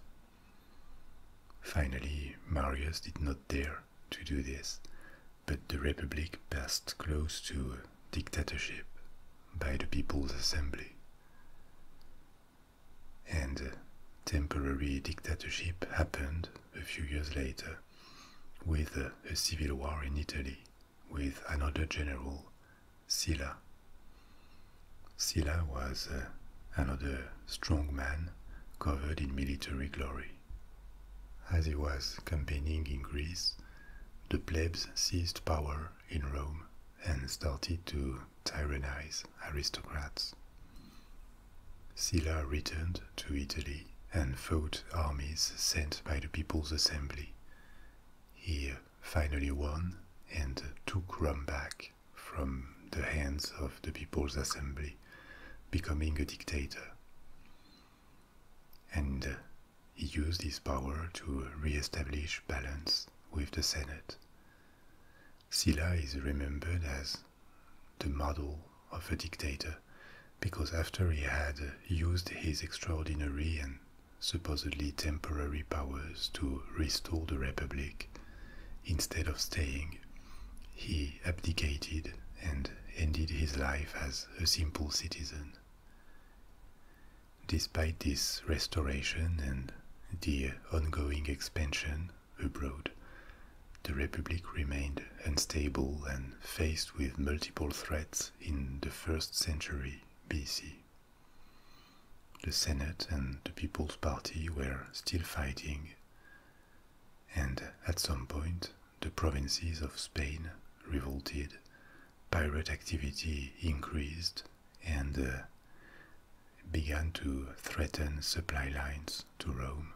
Finally, Marius did not dare to do this, but the Republic passed close to dictatorship by the People's Assembly. And uh, temporary dictatorship happened a few years later, with a civil war in Italy with another general, Silla. Silla was uh, another strong man covered in military glory. As he was campaigning in Greece, the plebs seized power in Rome and started to tyrannize aristocrats. Silla returned to Italy and fought armies sent by the People's Assembly. He finally won and took Rome back from the hands of the People's Assembly, becoming a dictator. And he used his power to re-establish balance with the Senate. Silla is remembered as the model of a dictator, because after he had used his extraordinary and supposedly temporary powers to restore the republic, instead of staying, he abdicated and ended his life as a simple citizen. Despite this restoration and the ongoing expansion abroad, the Republic remained unstable and faced with multiple threats in the first century BC. The Senate and the People's Party were still fighting, and at some point, the provinces of Spain revolted, pirate activity increased, and uh, began to threaten supply lines to Rome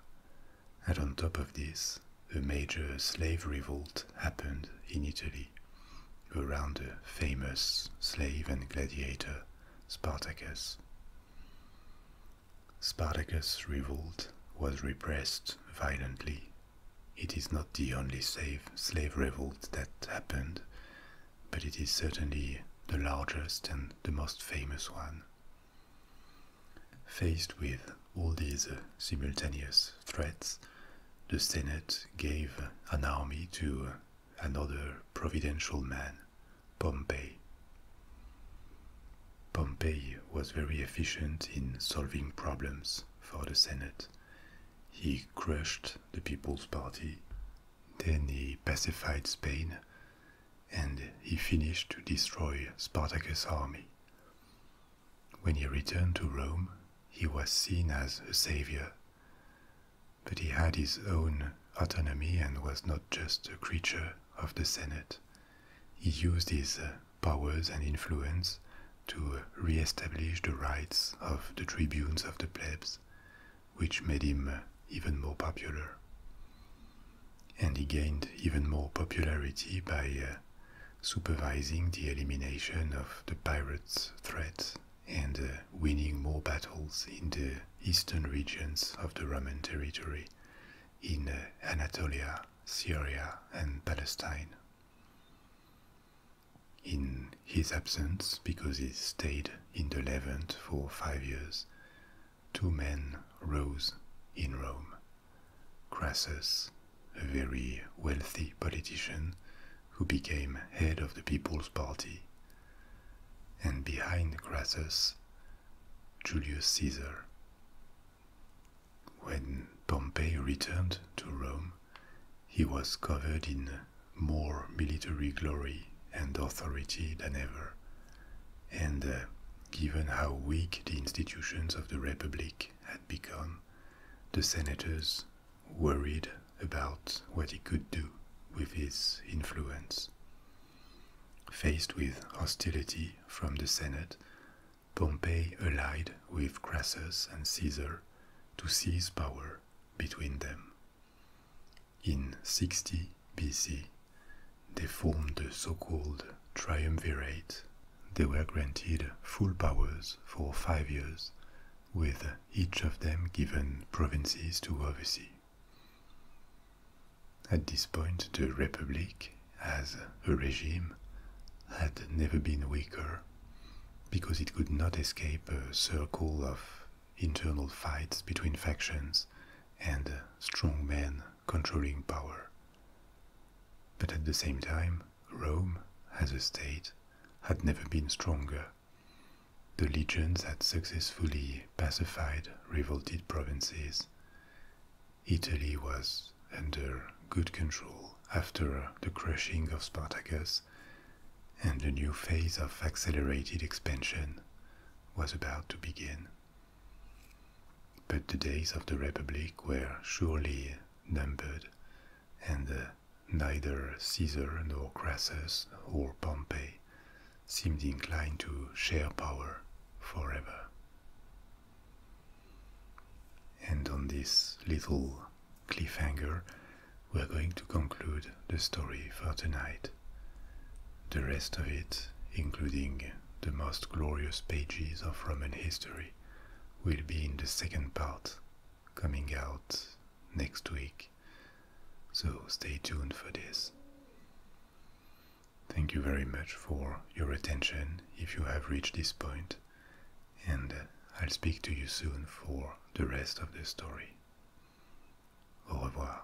and on top of this, a major slave revolt happened in Italy around the famous slave and gladiator Spartacus. Spartacus' revolt was repressed violently. It is not the only slave, slave revolt that happened, but it is certainly the largest and the most famous one. Faced with all these uh, simultaneous threats, the Senate gave an army to uh, another providential man, Pompey. Pompey was very efficient in solving problems for the Senate. He crushed the People's Party, then he pacified Spain, and he finished to destroy Spartacus' army. When he returned to Rome, he was seen as a savior. But he had his own autonomy and was not just a creature of the Senate. He used his uh, powers and influence to re-establish the rights of the tribunes of the plebs, which made him uh, even more popular and he gained even more popularity by uh, supervising the elimination of the pirates' threat and uh, winning more battles in the eastern regions of the Roman territory, in uh, Anatolia, Syria, and Palestine. In his absence, because he stayed in the Levant for five years, two men rose in Rome Crassus, a very wealthy politician who became head of the People's Party. And behind Crassus, Julius Caesar. When Pompey returned to Rome, he was covered in more military glory and authority than ever, and uh, given how weak the institutions of the Republic had become, the senators worried about what he could do with his influence. Faced with hostility from the Senate, Pompey allied with Crassus and Caesar to seize power between them. In 60 BC, they formed the so called triumvirate. They were granted full powers for five years, with each of them given provinces to oversee. At this point, the Republic, as a regime, had never been weaker because it could not escape a circle of internal fights between factions and strong men controlling power. But at the same time, Rome, as a state, had never been stronger. The legions had successfully pacified revolted provinces. Italy was under good control after the crushing of Spartacus, and a new phase of accelerated expansion was about to begin. But the days of the Republic were surely numbered, and uh, neither Caesar nor Crassus or Pompey seemed inclined to share power forever. And on this little cliffhanger, we're going to conclude the story for tonight. The rest of it, including the most glorious pages of Roman history, will be in the second part coming out next week. So stay tuned for this. Thank you very much for your attention if you have reached this point, and I'll speak to you soon for the rest of the story. Au revoir.